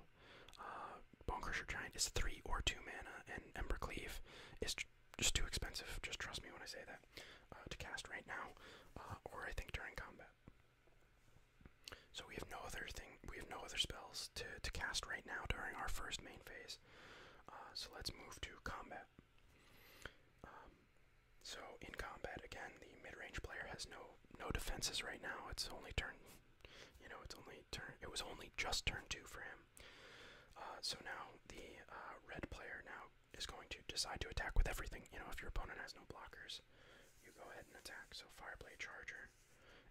Uh, Bone Crusher Giant is three or two mana, and Ember Cleave is just too expensive. Just trust me when I say that uh, to cast right now, uh, or I think during combat. So we have no other thing. We have no other spells to to cast right now during our first main phase. Uh, so let's move to combat. Um, so in combat again, the mid-range player has no no defenses right now. It's only turn. You know, it's only turn. It was only just turn two for him. Uh, so now the uh, red player now is going to decide to attack with everything. You know, if your opponent has no blockers, you go ahead and attack. So Fireblade Charger.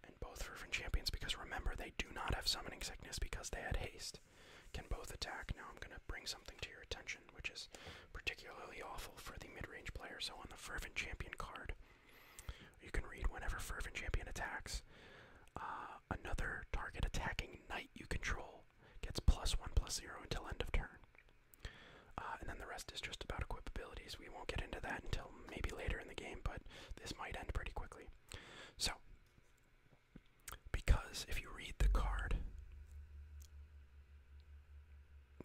And both Fervent Champions, because remember, they do not have Summoning Sickness because they had Haste, can both attack. Now I'm going to bring something to your attention, which is particularly awful for the mid range player. So on the Fervent Champion card, you can read whenever Fervent Champion attacks, uh, another target attacking Knight you control gets plus 1 plus 0 until end of turn. Uh, and then the rest is just about equip abilities. We won't get into that until maybe later in the game, but this might end pretty quickly. So, because if you read the card,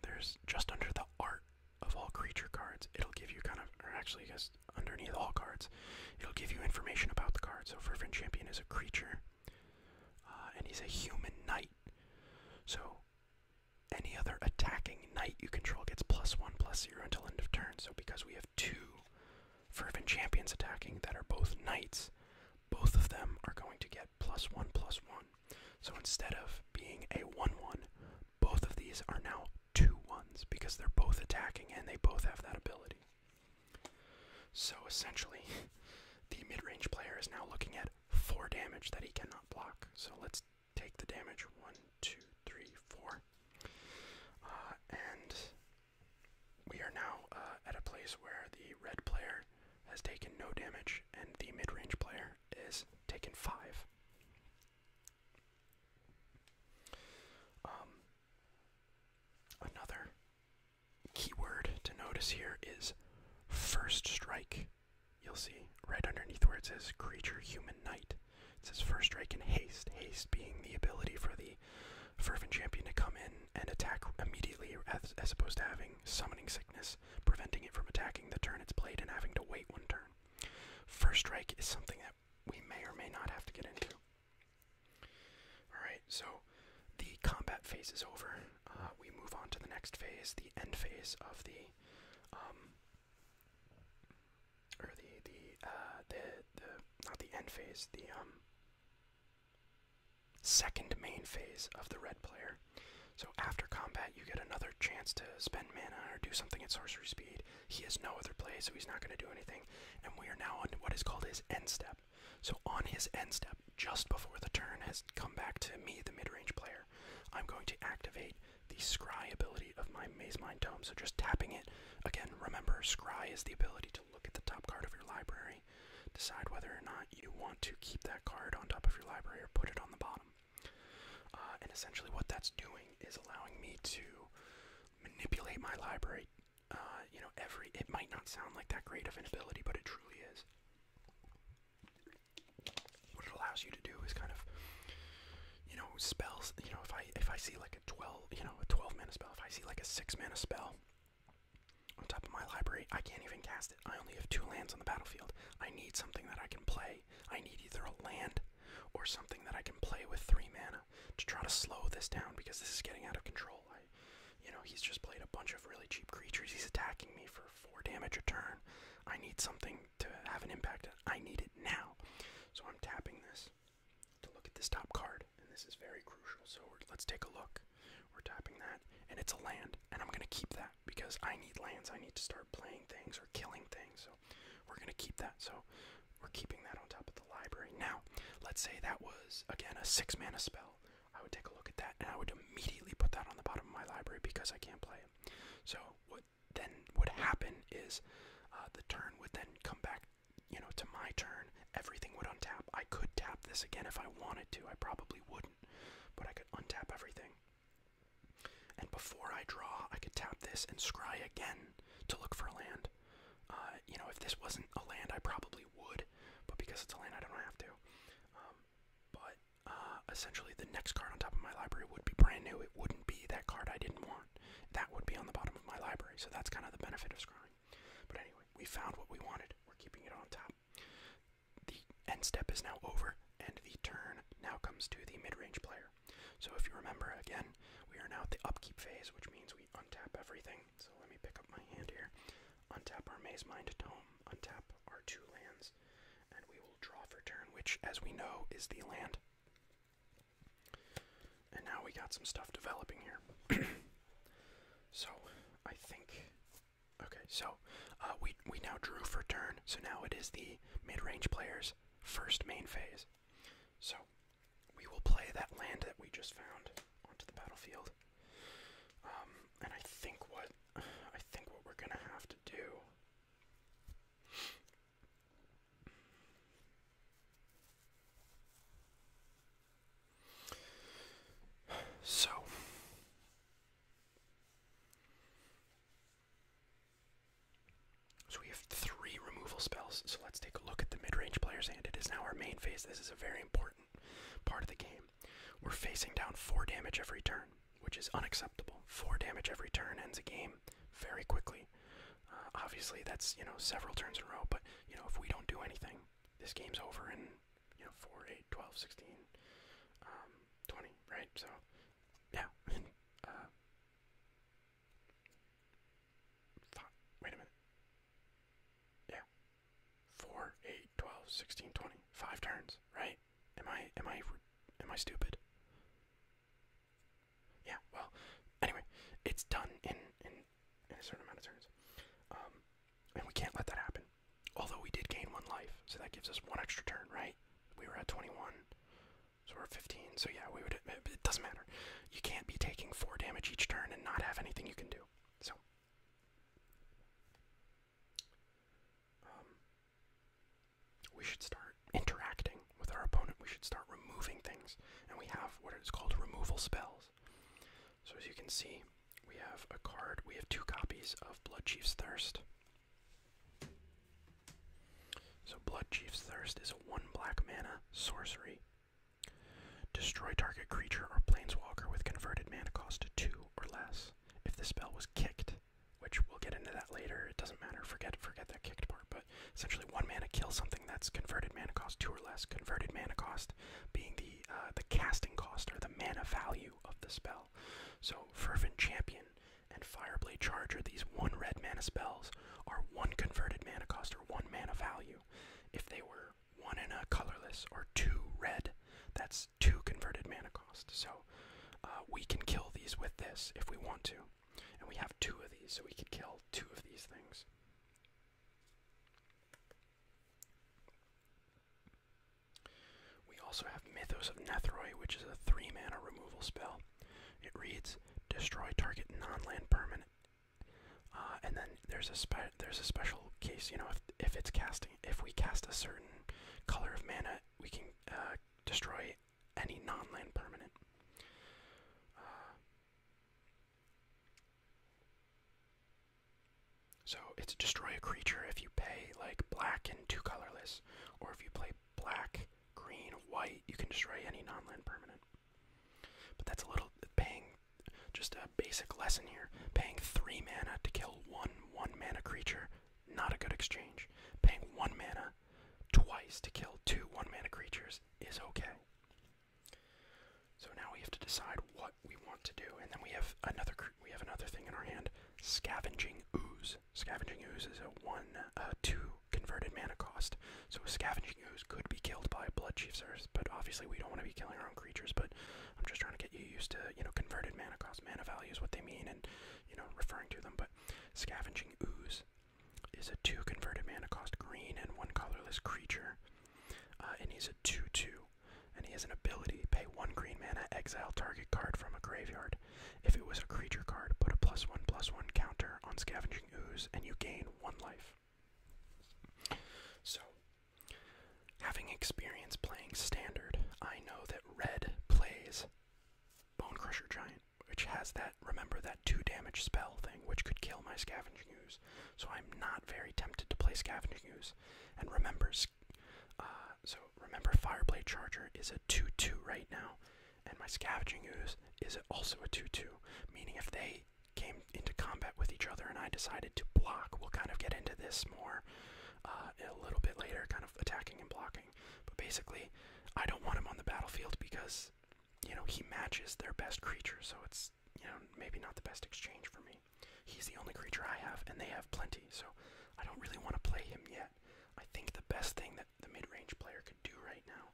there's just under the art of all creature cards, it'll give you kind of, or actually, just underneath all cards, it'll give you information about the card. So, Fervent Champion is a creature, uh, and he's a human knight. So, any other attacking knight you control gets plus one, plus zero until end of turn. So because we have two fervent champions attacking that are both knights, both of them are going to get plus one, plus one. So instead of being a one one, both of these are now two ones because they're both attacking and they both have that ability. So essentially, the mid range player is now looking at four damage that he cannot block. So let's take the damage one, two, three, four. Uh, and we are now uh, at a place where the red player has taken no damage and the mid range player is taken five. Um, another keyword to notice here is first strike you'll see right underneath where it says creature human knight it says first strike and haste haste being the ability for the fervent champion to come in and attack immediately as, opposed to having summoning sickness preventing it from attacking the turn it's played and having to wait one turn first strike is something that we may or may not have to get into alright so the combat phase is over uh, we move on to the next phase the end phase of the um, or the the uh, the the not the end phase, the um, second main phase of the red player. So after combat, you get another chance to spend mana or do something at sorcery speed. He has no other play, so he's not going to do anything. And we are now on what is called his end step. So on his end step, just before the turn has come back to me, the mid range player. I'm going to activate the Scry ability of my Maze Mind Tome. So just tapping it, again, remember, Scry is the ability to look at the top card of your library, decide whether or not you want to keep that card on top of your library or put it on the bottom. Uh, and essentially, what that's doing is allowing me to manipulate my library. Uh, you know, every it might not sound like that great of an ability, but it truly is what it allows you to do is kind of you know spells you know if i if i see like a 12 you know a 12 mana spell if i see like a 6 mana spell on top of my library i can't even cast it i only have two lands on the battlefield i need something that i can play i need either a land or something that i can play with 3 mana to try to slow this down because this is getting out of control i you know he's just played a bunch of really cheap creatures he's attacking me for 4 damage a turn i need something to have an impact. I need it now. So I'm tapping this to look at this top card, and this is very crucial. So let's take a look. We're tapping that, and it's a land, and I'm going to keep that because I need lands. I need to start playing things or killing things. So we're going to keep that. So we're keeping that on top of the library. Now, let's say that was, again, a six mana spell. I would take a look at that, and I would immediately put that on the bottom of my library because I can't play so what then would happen is uh, the turn would then come back, you know, to my turn. Everything would untap. I could tap this again if I wanted to. I probably wouldn't, but I could untap everything. And before I draw, I could tap this and scry again to look for a land. Uh, you know, if this wasn't a land, I probably would, but because it's a land, I don't have to. Um, but uh, essentially the next card on top of my library would be brand new. It wouldn't be that card I didn't want. That would be on the bottom of my library. So that's kind of the benefit of scrying. But anyway, we found what we wanted. We're keeping it on top. The end step is now over, and the turn now comes to the mid-range player. So if you remember, again, we are now at the upkeep phase, which means we untap everything. So let me pick up my hand here. Untap our Maze Mind Tome. Untap our two lands and we will draw for turn, which, as we know, is the land. And now we got some stuff developing here. so, I think. Okay, so uh, we we now drew for turn, so now it is the mid-range player's first main phase. So we will play that land that we just found onto the battlefield. Um, and I think what I think what we're gonna have to do so, so we have three removal spells. So let's take a look at the mid-range player's And It is now our main phase. This is a very important part of the game. We're facing down four damage every turn which is unacceptable. Four damage every turn ends a game very quickly. Uh, obviously, that's you know several turns in a row. But you know if we don't do anything, this game's over in you know 4, 8, 12, 16, um, right? So yeah. Uh, wait a minute. Yeah. 4, 8, 12, 16, 20. Five turns, right? Am I am I am I stupid? Yeah. Well, anyway, it's done in in, a certain amount of turns, um, and we can't let that happen. Although we did gain one life, so that gives us one extra turn, right? We were at 21, so we're 15. So yeah, we would. It doesn't matter. You can't be taking four damage each turn and not have anything you can do. So. Um, we should start interacting with our opponent. We should start removing things. And we have what is called removal spells. So as you can see, we have a card. We have two copies of Blood Chief's Thirst. So Blood Chief's Thirst is a one black mana sorcery. Destroy target creature or planeswalker with converted mana cost to two or less. If the spell was kicked, which we'll get into that later. It doesn't matter. Forget forget that kicked part. But essentially, one mana kill something that's converted mana cost two or less. Converted mana cost being the uh, the casting cost or the mana value of the spell. So fervent champion and fireblade charger. These one red mana spells are one converted mana cost or one mana value. If they were one in a colorless or two red, that's two converted mana cost. So uh, we can kill these with this if we want to. And we have two of these, so we could kill two of these things. We also have Mythos of Nethroi, which is a 3 mana removal spell. It reads Destroy target non land permanent. Uh, and then there's a spe there's a special case, you know, if if it's casting, if we cast a certain color of mana, we can uh, destroy it any non-land permanent. Uh, so it's destroy a creature if you pay like black and two colorless, or if you play black, green, white, you can destroy any non-land permanent. But that's a little paying just a basic lesson here. Paying three mana to kill one one mana creature, not a good exchange. Paying one mana twice to kill two one mana creatures is okay. So now we have to decide what we want to do, and then we have another we have another thing in our hand: scavenging ooze. Scavenging ooze is a one uh, two converted mana cost. So scavenging ooze could be killed by blood chiefers, but obviously we don't want to be killing our own creatures. But I'm just trying to get you used to you know converted mana cost, mana values, what they mean, and you know referring to them. But Scavenging Ooze is a 2 converted mana cost green and 1 colorless creature. Uh, and he's a 2 2. And he has an ability pay 1 green mana, exile target card from a graveyard. If it was a creature card, put a plus 1 plus 1 counter on Scavenging Ooze and you gain 1 life. So, having experience playing Standard, I know that red plays Bone Crusher Giant, which has that, remember, that 2 damage spell thing, which could kill my Scavenging Ooze. So I'm not very tempted to play Scavenging Ooze. And remember, uh, so remember Fireblade Charger is a 2-2 right now, and my Scavenging Ooze is also a 2-2, meaning if they came into combat with each other and I decided to block, we'll kind of get into this more uh, a little bit later, kind of attacking and blocking. But basically, I don't want him on the battlefield because, you know, he matches their best creature, so it's, you know, maybe not the best exchange for me. He's the only creature I have, and they have plenty, so I don't really want to play him yet. I think the best thing that the mid range player could do right now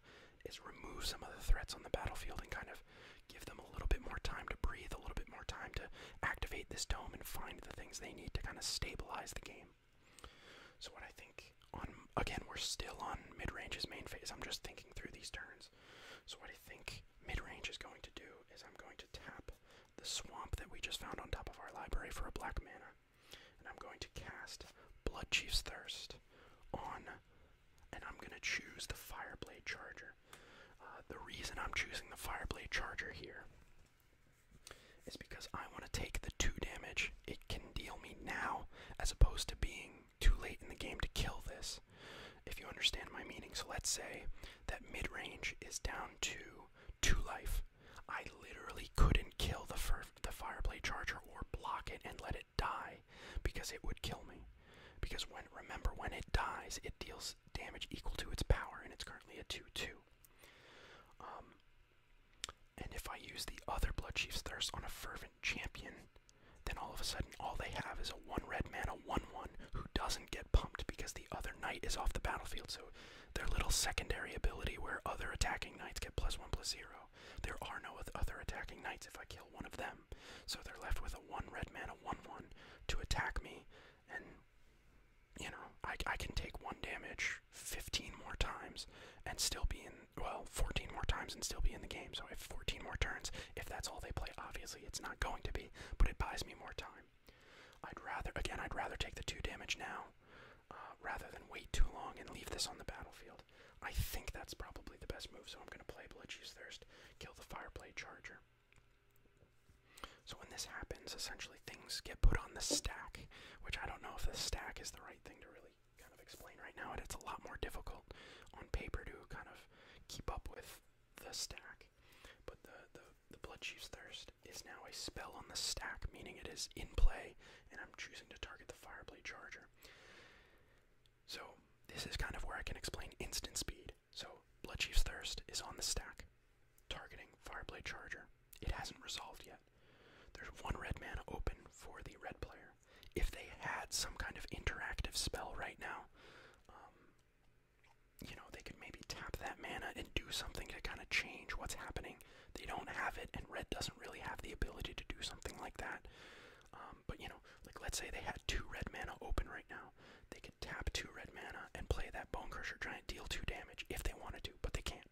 is remove some of the threats on the battlefield and kind of give them a little bit more time to breathe, a little bit more time to activate this dome and find the things they need to kind of stabilize the game. So what I think on again we're still on mid range's main phase. I'm just thinking through these turns. So what I think mid range is going to do is I'm going to tap the swamp that we just found on top of our library for a black mana, and I'm going to cast Blood Chief's Thirst on, and I'm going to choose the Fireblade Charger. Uh, the reason I'm choosing the Fireblade Charger here is because I want to take the 2 damage it can deal me now, as opposed to being too late in the game to kill this, if you understand my meaning. So let's say that mid range is down to 2 life. I literally couldn't kill the, first the Fireblade Charger or block it and let it die because it would kill me. Because when remember, when it dies, it deals damage equal to its power, and it's currently a 2 2. Um, and if I use the other Blood Chief's Thirst on a Fervent Champion, then all of a sudden all they have is a one red mana, one one, who doesn't get pumped because the other knight is off the battlefield. So their little secondary ability where other attacking knights get plus one plus zero. There are no other attacking knights if I kill one of them. So they're left with a one red mana, one one to attack me. And, you know, I, I can take one damage 15 more times and still be in, well, 14 more times and still be in the game. So if 14 more turns, if that's all they play, obviously it's not going to be, but it buys me more time. I'd rather, again, I'd rather take the two damage now uh, rather than wait too long and leave this on the battlefield. I think that's probably the best move, so I'm going to play Bloodjuice Thirst, kill the Fireblade Charger. So when this happens, essentially things get put on the stack, which I don't know if the stack is the right thing thing to really kind of explain right now, it's a lot more difficult on paper to kind of keep up with the stack. But the, the, the Thirst is now a spell on the stack, meaning it is in play, and I'm choosing to target the Fireblade Charger. So, this is kind of where I can explain instant speed. So, Bloodchief's Thirst is on the stack, targeting Fireblade Charger. It hasn't resolved yet. There's one red mana open for the red player. If they had some kind of interactive spell right now, um, you know, they could maybe tap that mana and do something to kind of change what's happening. They don't have it, and red doesn't really have the ability to do something like that. Um, but, you know, like let's say they had two red mana open right now. They could tap two red mana and play that Bonecrusher Giant, deal two damage if they wanted to, but they can't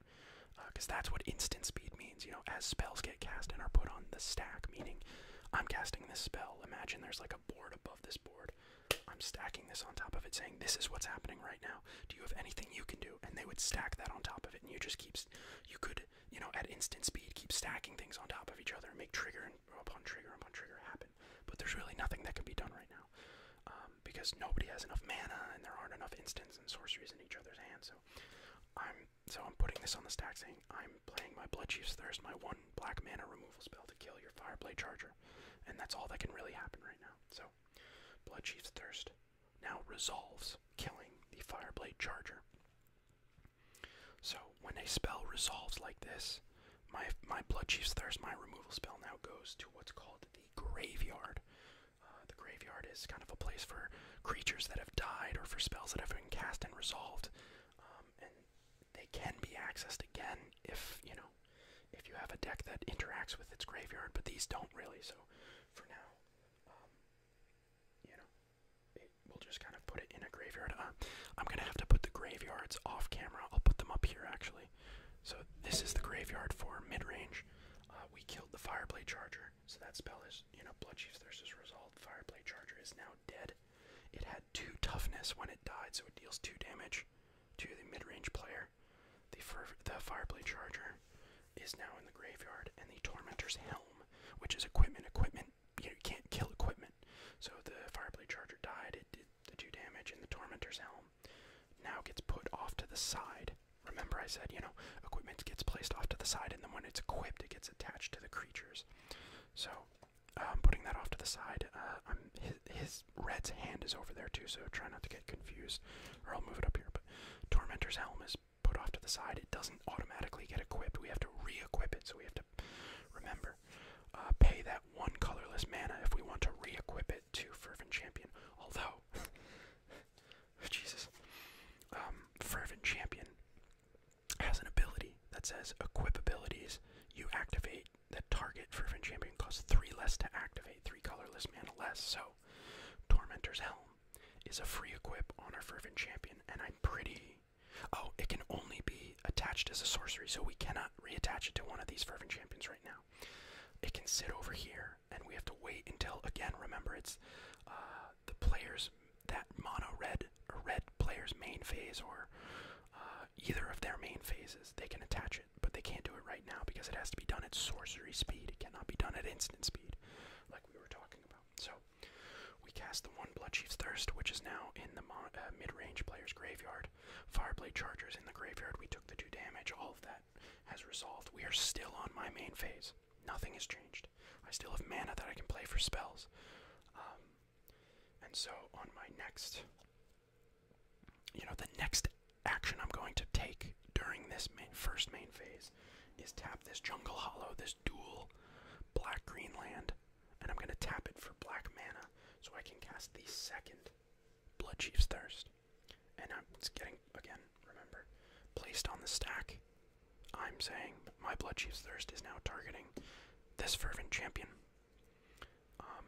because uh, that's what instant speed means. You know, as spells get cast and are put on the stack, meaning I'm casting this spell. Imagine there's like a board above this board. I'm stacking this on top of it, saying this is what's happening right now. Do you have anything you can do? And they would stack that on top of it, and you just keep, you could, you know, at instant speed, keep stacking things on top of each other and make trigger and upon trigger upon trigger happen. But there's really nothing that can be done right now. Um, because nobody has enough mana and there aren't enough instants and sorceries in each other's hands, so I'm so I'm putting this on the stack saying I'm playing my Blood Chief's Thirst, my one black mana removal spell to kill your Fireblade Charger. And that's all that can really happen right now. So Blood Chief's Thirst now resolves killing the Fireblade Charger. So when a spell resolves like this, my my Blood Chief's Thirst, my removal spell now goes to what's called the graveyard, uh, the graveyard is kind of a place for creatures that have died or for spells that have been cast and resolved, um, and they can be accessed again if you know if you have a deck that interacts with its graveyard. But these don't really. So for now, um, you know, we'll just kind of put it in a graveyard. Uh, I'm gonna have to put the graveyards off camera. I'll put them up here actually. So this is the graveyard for mid range. Uh, we killed the Fireblade Charger. So that spell is, you know, Blood Chief's Thirst is resolved. Fireblade Charger is now dead. It had two toughness when it died, so it deals two damage to the mid-range player. The, Fireblade Charger is now in the graveyard, and the Tormentor's Helm, which is equipment. Equipment, you, know, you can't kill equipment. So the Fireblade Charger died. It did the two damage, and the Tormentor's Helm now gets put off to the side Remember, I said, you know, equipment gets placed off to the side, and then when it's equipped, it gets attached to the creatures. So, um, putting that off to the side, uh, his, red's hand is over there too, so try not to get confused, or I'll move it up here. But Tormentor's Helm is put off to the side. It doesn't automatically get equipped. We have to re equip it, so we have to remember. Uh, pay that one colorless mana if we want to re equip it to Fervent Champion. Although. Jesus, um, fervent champion has an ability that says equip abilities. You activate that target fervent champion costs three less to activate, three colorless mana less. So, tormentor's helm is a free equip on our fervent champion, and I'm pretty. Oh, it can only be attached as a sorcery, so we cannot reattach it to one of these fervent champions right now. It can sit over here and we have to wait until again. Remember, it's uh, the players that mono red red player's main phase or uh, either of their main phases. They can attach it, but they can't do it right now because it has to be done at sorcery speed. It cannot be done at instant speed, like we were talking about. So we cast the one Blood Chief's Thirst, which is now in the uh, mid range player's graveyard. Fireblade Chargers in the graveyard. We took the two damage. All of that has resolved. We are still on my main phase. Nothing has changed. I still have mana that I can play for spells. Um, and so on my next, you know, the next action I'm going to take during this first main phase is tap this Jungle Hollow, this dual black green land, and I'm going to tap it for black mana so I can cast the second Blood Chief's Thirst. And I'm, it's getting, again, remember, placed on the stack I'm saying my Blood Thirst is now targeting this fervent champion. Um,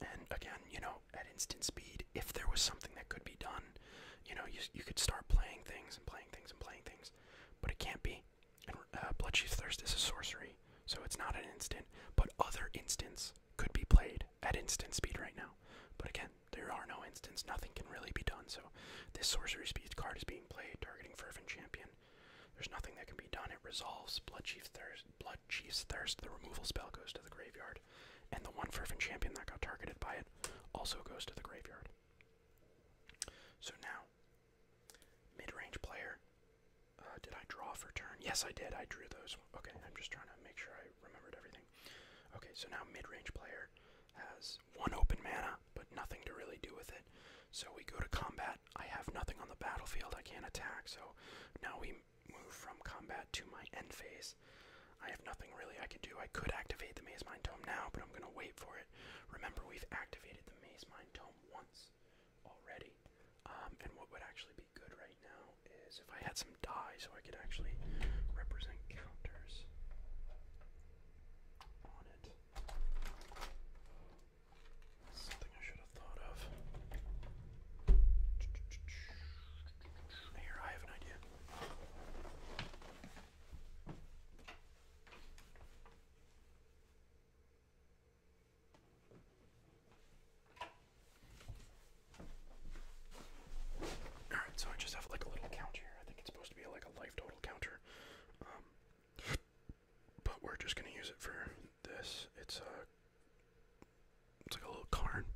and again, you know, at instant speed, if there was something that could be done, you know, you, you could start playing things and playing things and playing things, but it can't be. And uh, Thirst is a sorcery, so it's not an instant, but other instants could be played at instant speed right now. But again, there are no instants, nothing can really be done. So this sorcery speed card is being played, targeting Fervent Champion. There's nothing that can be done. It resolves Blood Chief's Thirst. Blood Chief's Thirst. The removal spell goes to the graveyard, and the one Fervent Champion that got targeted by it also goes to the graveyard. So now, mid-range player. Uh, did I draw for turn? Yes, I did. I drew those. Okay, I'm just trying to make sure I remembered everything. Okay, so now mid-range player has one open mana, but nothing to really do with it. So we go to combat. I have nothing on the battlefield. I can't attack. So now we move from combat to my end phase. I have nothing really I could do. I could activate the Maze Mind Tome now, but I'm going to wait for it. Remember, we've activated the Maze Mind Tome once already. Um, and what would actually be good right now is if I had some die so I could actually represent counters on it. something I should have thought of. Here, I have an idea. Alright, so I just have like a little count here. I think it's supposed to be like a life total counter. Um, but we're just gonna use it for this. It's a uh, it's like a little card.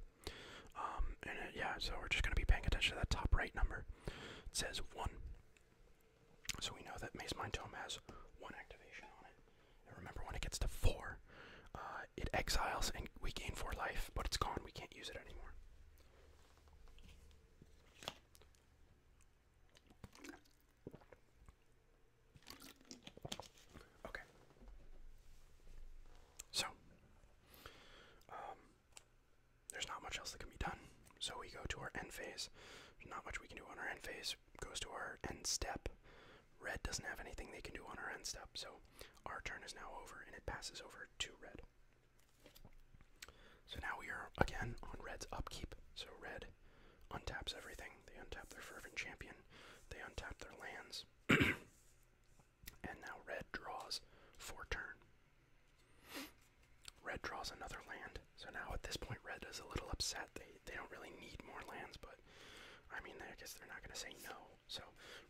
Um, and yeah, so we're just gonna be paying attention to that top right number. It says one. So we know that Maze Mind Tome has one activation on it. And remember, when it gets to four, uh, it exiles and we gain four life, but it's gone. We can't use it anymore. Okay. So, um, there's not much else that can be done. So we go to our end phase. There's not much we can do on our end phase. Goes to our end step. Red doesn't have anything they can do on our end step, so our turn is now over, and it passes over to red. So now we are again on Red's upkeep. So Red untaps everything. They untap their Fervent Champion. They untap their lands. and now Red draws four turn. Red draws another land. So now at this point, Red is a little upset. They, they don't really need more lands, but I mean, I guess they're not going to say no. So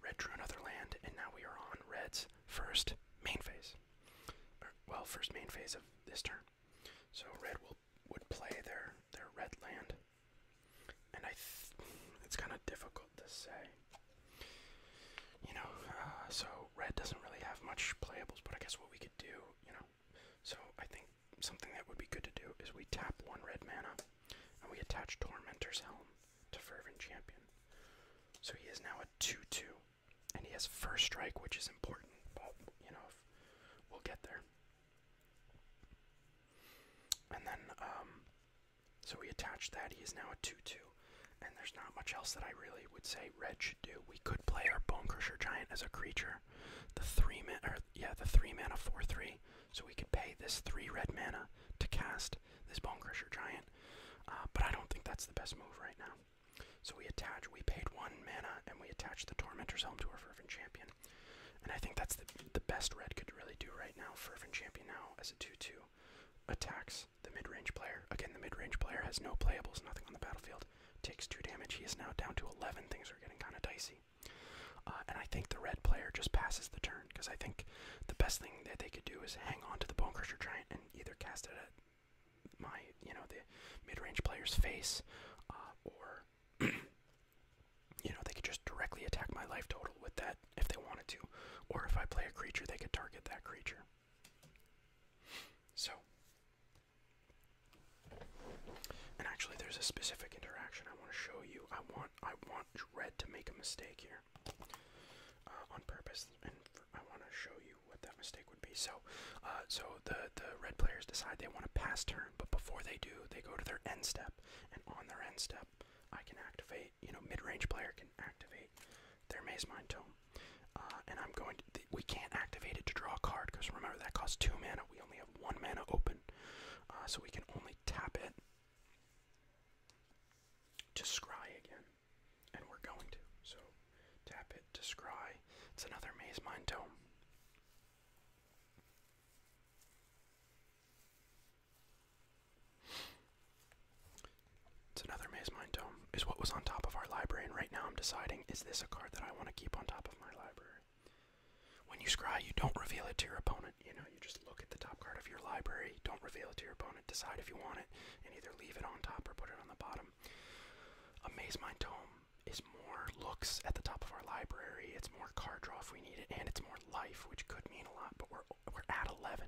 Red drew another land, and now we are on Red's first main phase. well, first main phase of this turn. So red will would play their their red land, and I it's kind of difficult to say. You know, uh, so red doesn't really have much playables, but I guess what we could do, you know, so I think something that would be good to do is we tap one red mana, and we attach Tormentor's Helm to Fervent Champion. So he is now a 2 2. And he has first strike, which is important. But, you know, we'll get there. And then, um, so we attach that. He is now a 2 2. And there's not much else that I really would say red should do. We could play our Bone Crusher Giant as a creature. The three man, or yeah, the three mana four three. So we could pay this three red mana to cast this Bone Crusher Giant. Uh, but I don't think that's the best move right now. So we attach, we paid one mana, and we attach the Tormentor's Helm to our Fervent Champion. And I think that's the, the best red could really do right now. Fervent Champion now as a 2-2 attacks the mid-range player. Again, the mid-range player has no playables, nothing on the battlefield. Takes 2 damage. He is now down to 11. Things are getting kind of dicey. Uh, and I think the red player just passes the turn because I think the best thing that they could do is hang on to the Bone Crusher Giant, either cast it at my, you know, the mid-range player's face, uh, or you know, they could just directly attack my life total with that if they wanted to, or if I play a creature, they could target that creature. So, and actually, there's a specific interaction I want to show you. I want I want Red to make a mistake here. Uh, on purpose, and I want to show you what that mistake would be. So, uh, so the the red players decide they want to pass turn, but before they do, they go to their end step, and on their end step, I can activate. You know, mid range player can activate their Maze Mind Tome, uh, and I'm going. To, we can't activate it to draw a card because remember that costs two mana. We only have one mana open, so we can only tap it to scry again. And we're going to. So tap it to scry. It's another Maze Mind Tome. It's another Maze Mind Tome, is what was on top of our library, and right now I'm deciding is this a card that I want to keep on top of my library? When you scry, you don't reveal it to your opponent. You know, you just look at the top card of your library, don't reveal it to your opponent decide if you want it, and either leave it on top or put it on the bottom. Amaze Mind Tome is more looks at the top of our library. It's more card draw if we need it, and it's more life, which could mean a lot. But we're we're at 11.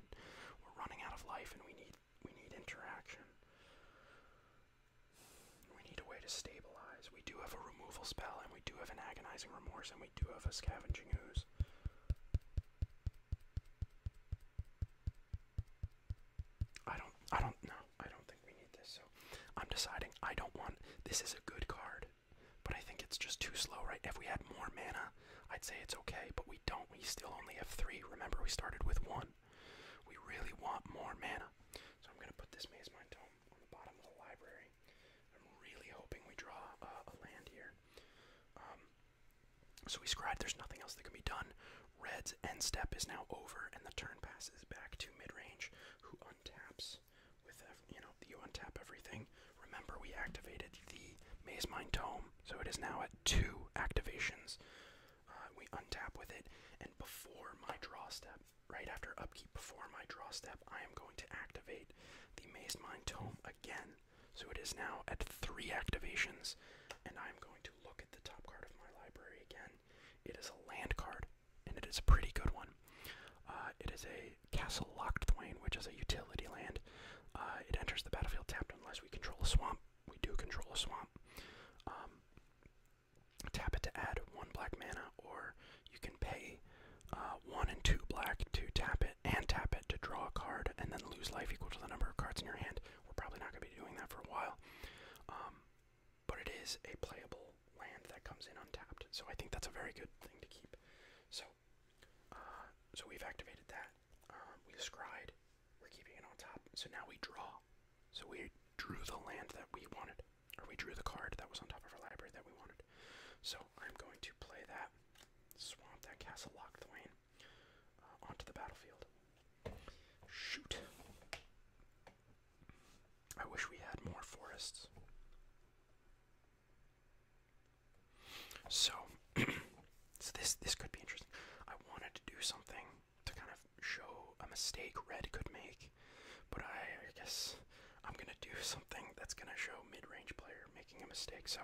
We're running out of life, and we need we need interaction. We need a way to stabilize. We do have a removal spell, and we do have an agonizing remorse, and we do have a scavenging ooze. I don't I don't know. I don't think we need this. So I'm deciding I don't want this is a good card, but I think it's just too slow, right? If we had more mana, I'd say it's okay, but we don't. We still only have three. Remember we started with one. We really want more mana. So I'm gonna put this Maze Mind Tome on the bottom of the library. I'm really hoping we draw uh, a land here. Um, so we scried, there's nothing else that can be done. Red's end step is now over, and the turn passes back to mid range, who untaps with, you know, you untap everything. Remember, we activated the Maze Mine Tome, so it is now at two activations. Uh, we untap with it, and before my draw step, right after upkeep, before my draw step, I am going to activate the Maze Mine Tome again. So it is now at three activations, and I'm going to look at the top card of my library again. It is a land card, and it is a pretty good one. Uh, it is a Castle Locked Lockthwain, which is a utility land. Uh, it enters the battlefield tapped unless we control a swamp. We do control a swamp. Um, tap it to add one black mana, or you can pay uh, one and two black to tap it and tap it to draw a card, and then lose life equal to the number of cards in your hand. We're probably not going to be doing that for a while. Um, but it is a playable land that comes in untapped. So I think that's a very good thing to keep. So uh, so we've activated that. Um, we scried. We're keeping it on top. So now we draw. So we drew the land that we wanted. Or we drew the card that was on top of our library that we wanted. So I'm going to play that. Swamp that castle lock Thwain onto the battlefield. Shoot. I wish we had more forests. So, so this this could be interesting. I wanted to do something to kind of show a mistake red could make, but I guess I'm gonna do something that's gonna show mid-range player making a mistake. So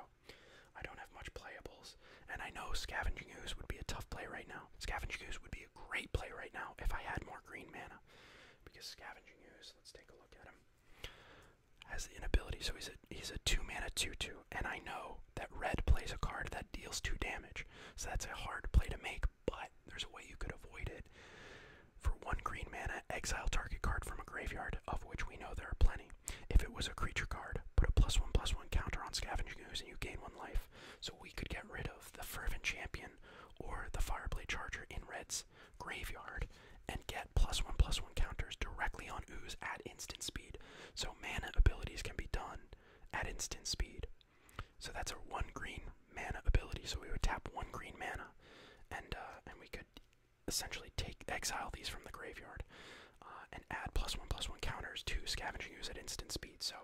I don't have much playables, and I know Scavenging Ooze would be a tough play right now. Scavenging Ooze would be a great play right now if I had more green mana. Because Scavenging Ooze, let's take a look at him, has the inability, so he's a, he's a 2 mana 2 2, and I know that red plays a card that deals 2 damage, so that's a hard play to make, but there's a way you could avoid it. For one green mana, exile target card from a graveyard, of which we know there are plenty. If it was a creature card, put a plus one plus one counter on Scavenging Ooze and you gain one life. So we could get rid of the Fervent Champion or the Fireblade Charger in Red's graveyard and get plus one plus one counters directly on Ooze at instant speed. So mana abilities can be done at instant speed. So that's a one green mana ability. So we would tap one green mana, and uh, and we could essentially take exile these from the graveyard. Uh, and add plus one plus one counters to scavenging ooze at instant speed. So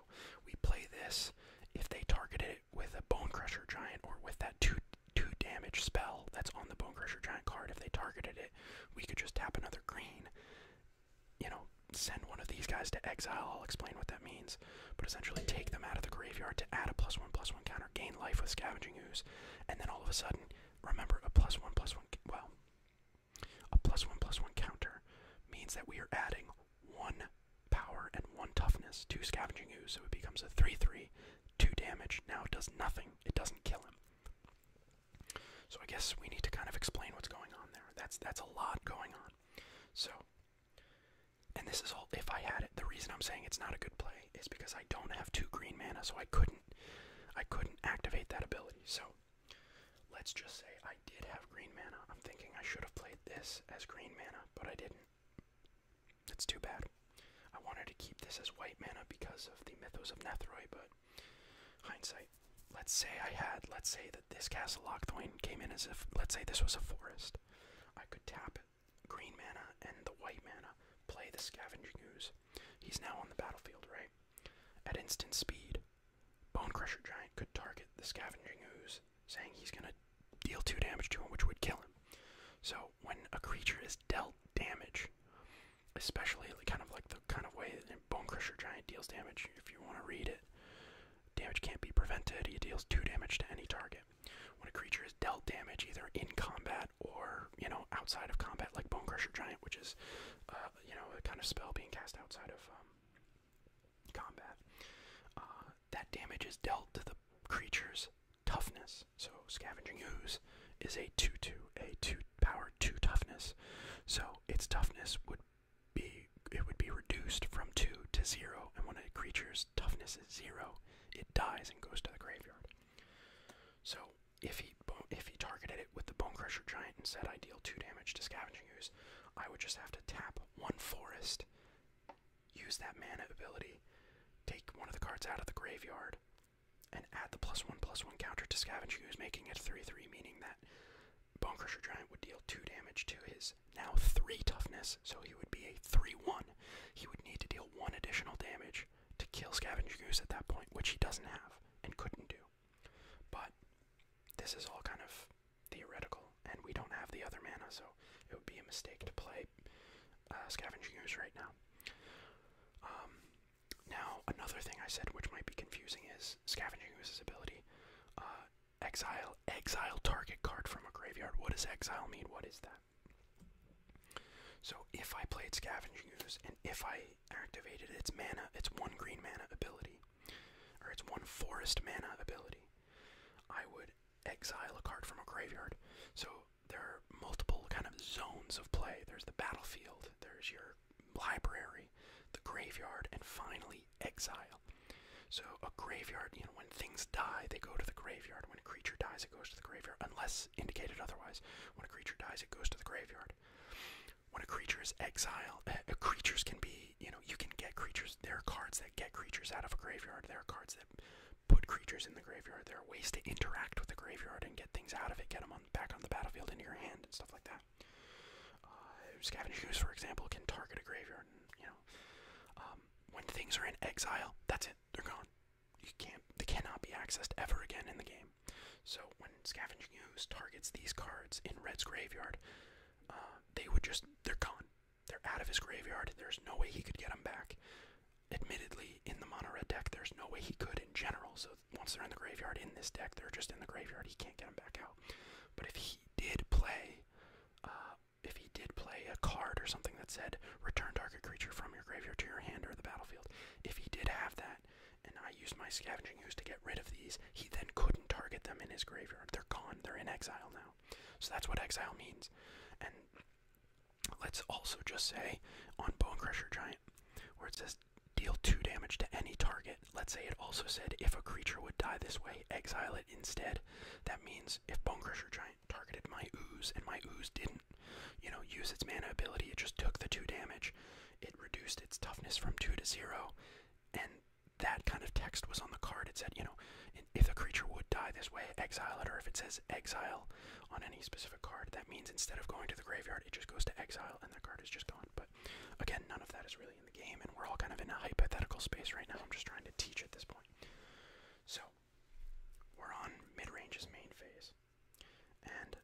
we play this if they target it with a bone crusher giant or with that two two damage spell that's on the bone crusher giant card. If they targeted it, we could just tap another green. You know, send one of these guys to exile. I'll explain what that means, but essentially take them out of the graveyard to add a plus one plus one counter, gain life with scavenging ooze, and then all of a sudden remember a plus one plus one. Well, a plus one plus one counter means that we are adding one power and one toughness to Scavenging Ooze, so it becomes a 3 3, 2 damage. Now it does nothing, it doesn't kill him. So I guess we need to kind of explain what's going on there. That's, that's a lot going on. So, and this is all if I had it. The reason I'm saying it's not a good play is because I don't have two green mana, so I couldn't. I couldn't activate that ability. So let's just say I did have green mana. I'm thinking I should have played this as green mana, but I didn't. That's too bad. I wanted to keep this as white mana because of the Mythos of Nethroi, but hindsight. Let's say I had, let's say that this Castle Lockthwain came in as if, let's say this was a forest. I could tap green mana and the white mana, play the Scavenging Ooze. He's now on the battlefield, right? At instant speed, Bone Crusher Giant could target the Scavenging Ooze, saying he's going to deal 2 damage to him, which would kill him. So when a creature is dealt damage, especially kind of like the kind of way that Bone Crusher Giant deals damage, if you want to read it, damage can't be prevented, he deals 2 damage to any target. When a creature is dealt damage, either in combat or, you know, outside of combat, like Bone Crusher Giant, which is, uh, you know, a kind of spell being cast outside of um, um, combat. Uh, that damage is dealt to the creature's toughness. So Scavenging Ooze is a 2-2, a 2 power 2 toughness. So its toughness would be it would be reduced from 2 to 0 and when a creature's toughness is 0, it dies and goes to the graveyard. So if he if he targeted it with the Bone Crusher Giant and said I deal 2 damage to Scavenging I would just have to tap one forest, use that mana ability, take one of the cards out of the graveyard, and add the plus one plus one counter to Scavenger ooze, making it three three, meaning that Bonecrusher Giant would deal two damage to his now three toughness, so he would be a three one. He would need to deal one additional damage to kill Scavenger Goose at that point, which he doesn't have and couldn't do. But this is all kind of theoretical, and we don't have the other mana, so it would be a mistake to play uh, Scavenging Ooze right now. Um, now, another thing I said which might be confusing is Scavenging Ooze's ability. Uh, exile, exile target card from a graveyard. What does exile mean? What is that? So if I played Scavenging Ooze and if I activated its mana, its one green mana ability, or it's one forest mana ability. I would exile a card from a graveyard. So there are multiple kind of zones of play. There's the battlefield, there's your library, the graveyard, and finally exile. So a graveyard, you know, when things die, they go to the graveyard. When a creature dies, it goes to the graveyard, unless indicated otherwise. When a creature dies, it goes to the graveyard when a creature is exiled, eh, uh, creatures can be, you know, you can get creatures. There are cards that get creatures out of a graveyard. There are cards that put creatures in the graveyard. There are ways to interact with the graveyard and get things out of it, get them on, back on the battlefield into your hand and stuff like that. Uh, Scavenge Goose, for example, can target a graveyard. And, you know, um, when things are in exile, that's it. They're gone. You can't. They cannot be accessed ever again in the game. So when Scavenging Ooze targets these cards in Red's graveyard, uh, they would just, they're gone. They're out of his graveyard. and There's no way he could get them back. Admittedly, in the mono red deck, there's no way he could in general. So once they're in the graveyard in this deck, they're just in the graveyard. He can't get them back out. But if he did play, uh, if he did play a card or something that said return target creature from your graveyard to your hand or the battlefield, if he did have that, and I used my scavenging ooze to get rid of these, he then couldn't target them in his graveyard. They're gone. They're in exile now. So that's what exile means. And let's also just say on Bone Crusher Giant, where it says deal 2 damage to any target, let's say it also said if a creature would die this way, exile it instead. That means if Bone Crusher Giant targeted my ooze and my ooze didn't, you know, use its mana ability, it just took the 2 damage. It reduced its toughness from 2 to 0 and that kind of text was on the card. It said, you know, if a creature would die this way, exile it, or if it says exile on any specific card, that means instead of going to the graveyard, it just goes to exile and the card is just gone. But again, none of that is really in the game, and we're all kind of in a hypothetical space right now. I'm just trying to teach at this point. So, we're on midrange's main phase, and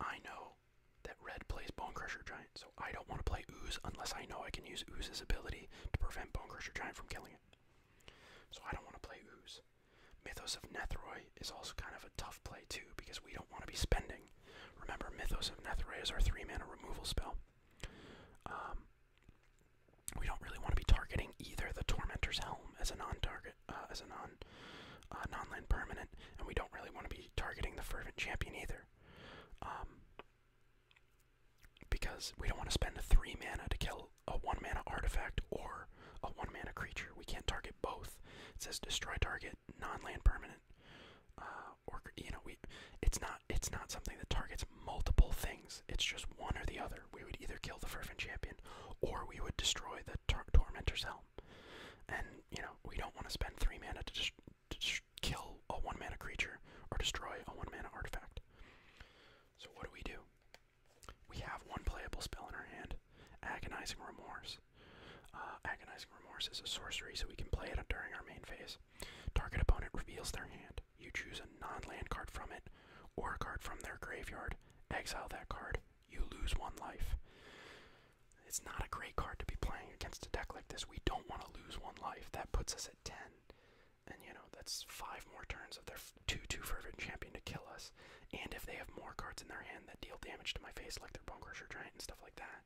I know that red plays Bone Crusher Giant, so I don't want to play Ooze unless I know I can use Ooze's ability to prevent Bone Crusher Giant from killing it. So I don't want to play Ooze. Mythos of Nethroi is also kind of a tough play too because we don't want to be spending. Remember, Mythos of Nethroi is our three mana removal spell. Um, we don't really want to be targeting either the Tormentor's Helm as a non-target, uh, as a non, uh, non-land permanent, and we don't really want to be targeting the Fervent Champion either. Um, because we don't want to spend three mana to kill a one mana artifact or a one mana creature. We can't target both. It says destroy target non-land permanent. Uh, or you know, we it's not it's not something that targets multiple things. It's just one or the other. We would either kill the Furfin Champion or we would destroy the tor Tormentor's Helm. And you know, we don't want to spend three mana to just to kill a one mana creature or destroy a one mana artifact. So, what do we do? We have one playable spell in our hand Agonizing Remorse. Uh, Agonizing Remorse is a sorcery, so we can play it during our main phase. Target opponent reveals their hand. You choose a non land card from it or a card from their graveyard, exile that card, you lose one life. It's not a great card to be playing against a deck like this. We don't want to lose one life. That puts us at 10. And, you know, that's five more turns of their 2 2 Fervent Champion to kill us. And if they have more cards in their hand that deal damage to my face, like their Bone Crusher Giant and stuff like that,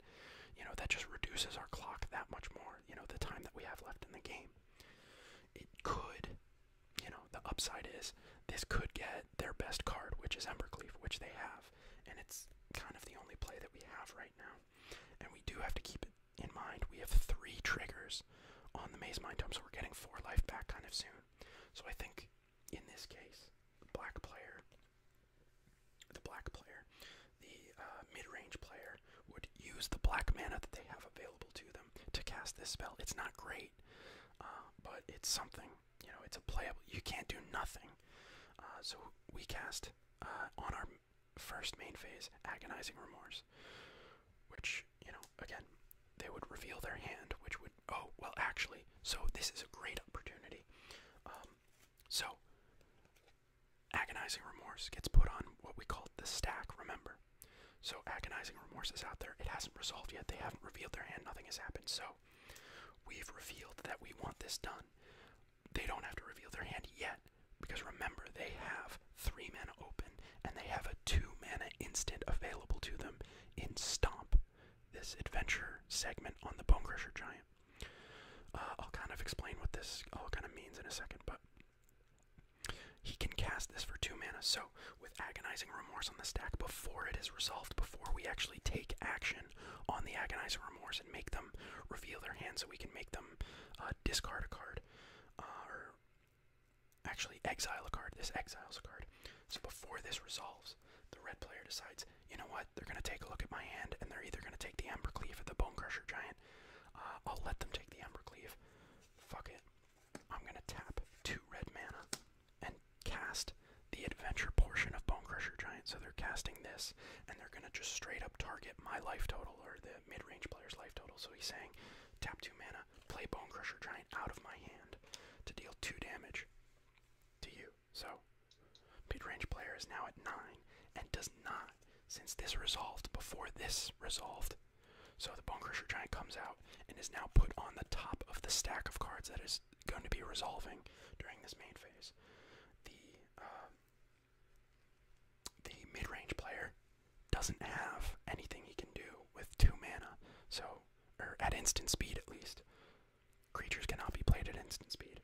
you know, that just reduces our clock that much more, you know, the time that we have left in the game. It could, you know, the upside is this could get their best card, which is Embercleave, which they have and it's kind of the only play that we have right now. And we do have to keep it in mind. We have three triggers on the Maze Mind Dome, so we're getting four life back kind of soon. So I think in this case, the black player, the black player, the uh, mid-range player would use the black mana that they have available to them to cast this spell. It's not great, uh, but it's something. You know, it's a playable. You can't do nothing. Uh, so we cast uh, on our first main phase, agonizing remorse, which you know again they would reveal their hand, which would oh well actually so this is a great opportunity. Um, so agonizing remorse gets put on what we call the stack. Remember, so agonizing remorse is out there. It hasn't resolved yet. They haven't revealed their hand. Nothing has happened. So we've revealed that we want this done they don't have to reveal their hand yet because remember they have three mana open and they have a two mana instant available to them in Stomp, this adventure segment on the Bone Crusher Giant. Uh, I'll kind of explain what this all kind of means in a second, but he can cast this for two mana. So, with Agonizing Remorse on the stack before it is resolved, before we actually take action, on the Agonizer Remorse and make them reveal their hand so we can make them uh, discard a card. Uh, or actually exile a card. This exiles a card. So before this resolves, the red player decides, you know what, they're going to take a look at my hand and they're either going to take the Ember Cleave or the Bone Crusher Giant. Uh, I'll let them take the Ember Cleave. Fuck it. I'm going to tap two red mana and cast the adventure portion of Bone Crusher Giant. So they're casting this and they're going to just straight up target my life total or the mid range player's life total. So he's saying, tap two mana, play Bone Crusher Giant out of my hand to deal two damage to you. So mid range player is now at nine and does not, since this resolved before this resolved. So the Bone Crusher Giant comes out and is now put on the top of the stack of cards that is going to be resolving during this main phase. Uh, the mid range player doesn't have anything he can do with two mana, so or at instant speed at least. Creatures cannot be played at instant speed.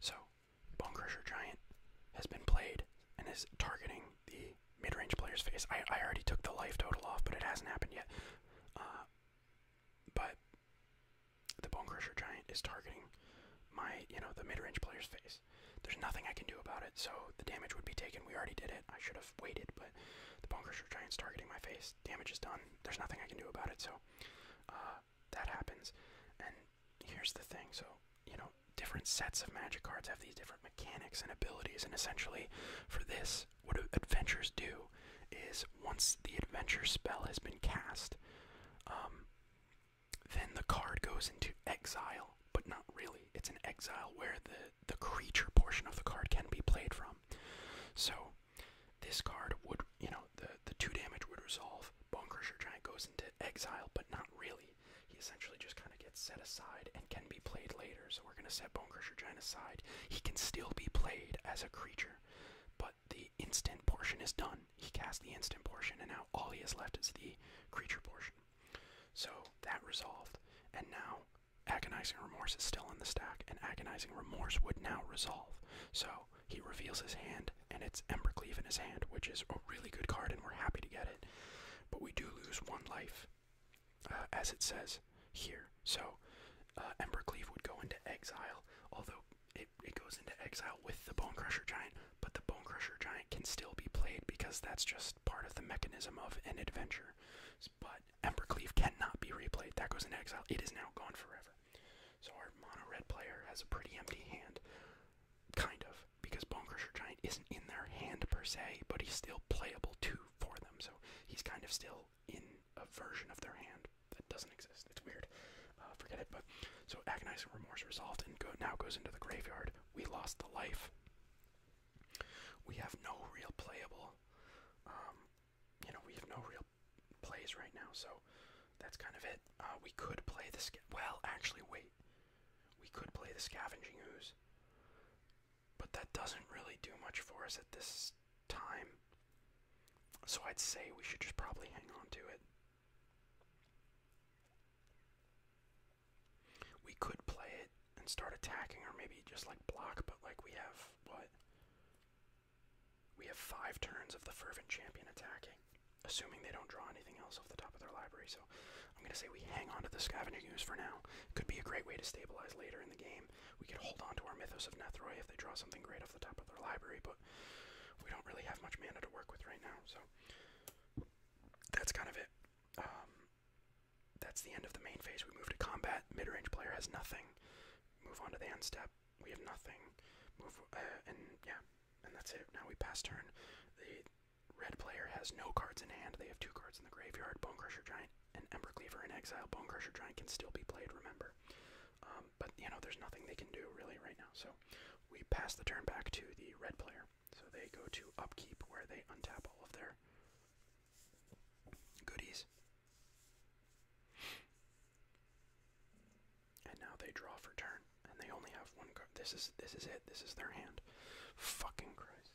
So, Bone Crusher Giant has been played and is targeting the mid range player's face. I, already took the life total off, but it hasn't happened yet. Uh, but the Bone Crusher Giant is targeting my, you know, the mid-range player's face. There's nothing I can do about it, so the damage would be taken. We already did it. I should have waited, but the Bone Crusher Giant's targeting my face. Damage is done. There's nothing I can do about it, so uh, that happens. And here's the thing, so, you know, different sets of magic cards have these different mechanics and abilities, and essentially, for this, what adventures do is once the adventure spell has been cast, um, then the card goes into exile, but not really. It's an exile where the the creature portion of the card can be played from. So this card would, you know, the the two damage would resolve. Bone Crusher Giant goes into exile, but not really. He essentially just kind of gets set aside and can be played later. So we're gonna set Bone Crusher Giant aside. He can still be played as a creature, but the instant portion is done. He cast the instant portion, and now all he has left is the creature portion. So that resolved, and now agonizing remorse is still in the stack, and agonizing remorse would now resolve. So he reveals his hand, and it's Embercleave in his hand, which is a really good card, and we're happy to get it. But we do lose one life, uh, as it says here. So uh, Embercleave would go into exile, although it, it goes into exile with the Bone Crusher Giant, but the Bone Crusher Giant can still be played because that's just part of the mechanism of an adventure. But Embercleave cannot be replayed. That goes into exile. It is now gone forever. So our mono red player has a pretty empty hand. Kind of, because Bone Crusher Giant isn't in their hand per se, but he's still playable too for them, so he's kind of still in a version of their hand that doesn't exist. It's weird. Uh, forget it. But so agonizing remorse resolved and go, now goes into the graveyard. We lost the life. We have no real playable. Um, you know, we have no real plays right now, so that's kind of it. Uh, we could play the well, actually, wait. We could play the scavenging ooze, but that doesn't really do much for us at this time. So I'd say we should just probably hang on to it. We could play it and start attacking, or maybe just like block, but like we have what? We have five turns of the Fervent Champion attacking, assuming they don't draw anything else off the top of their library. So I'm going to say we hang on to the Scavenging Ooze for now. Could be a great way to stabilize later in the game. We could hold on to our Mythos of Nethroi if they draw something great off the top of their library, but we don't really have much mana to work with right now, so that's kind of it. Um, that's the end of the main phase. We move to combat. Mid-range player has nothing. Move on to the end step. We have nothing. Move uh, and yeah, and that's it. Now we pass turn. The red player has no cards in hand. They have two cards in the graveyard. Bone Crusher Giant and Ember Cleaver in exile. Bone Crusher Giant can still be played. Remember. Um, but you know, there's nothing they can do really right now. So we pass the turn back to the red player. So they go to upkeep where they untap all of their goodies. And now they draw for turn, and they only have one card. This is this is it. This is their hand. Fucking Christ.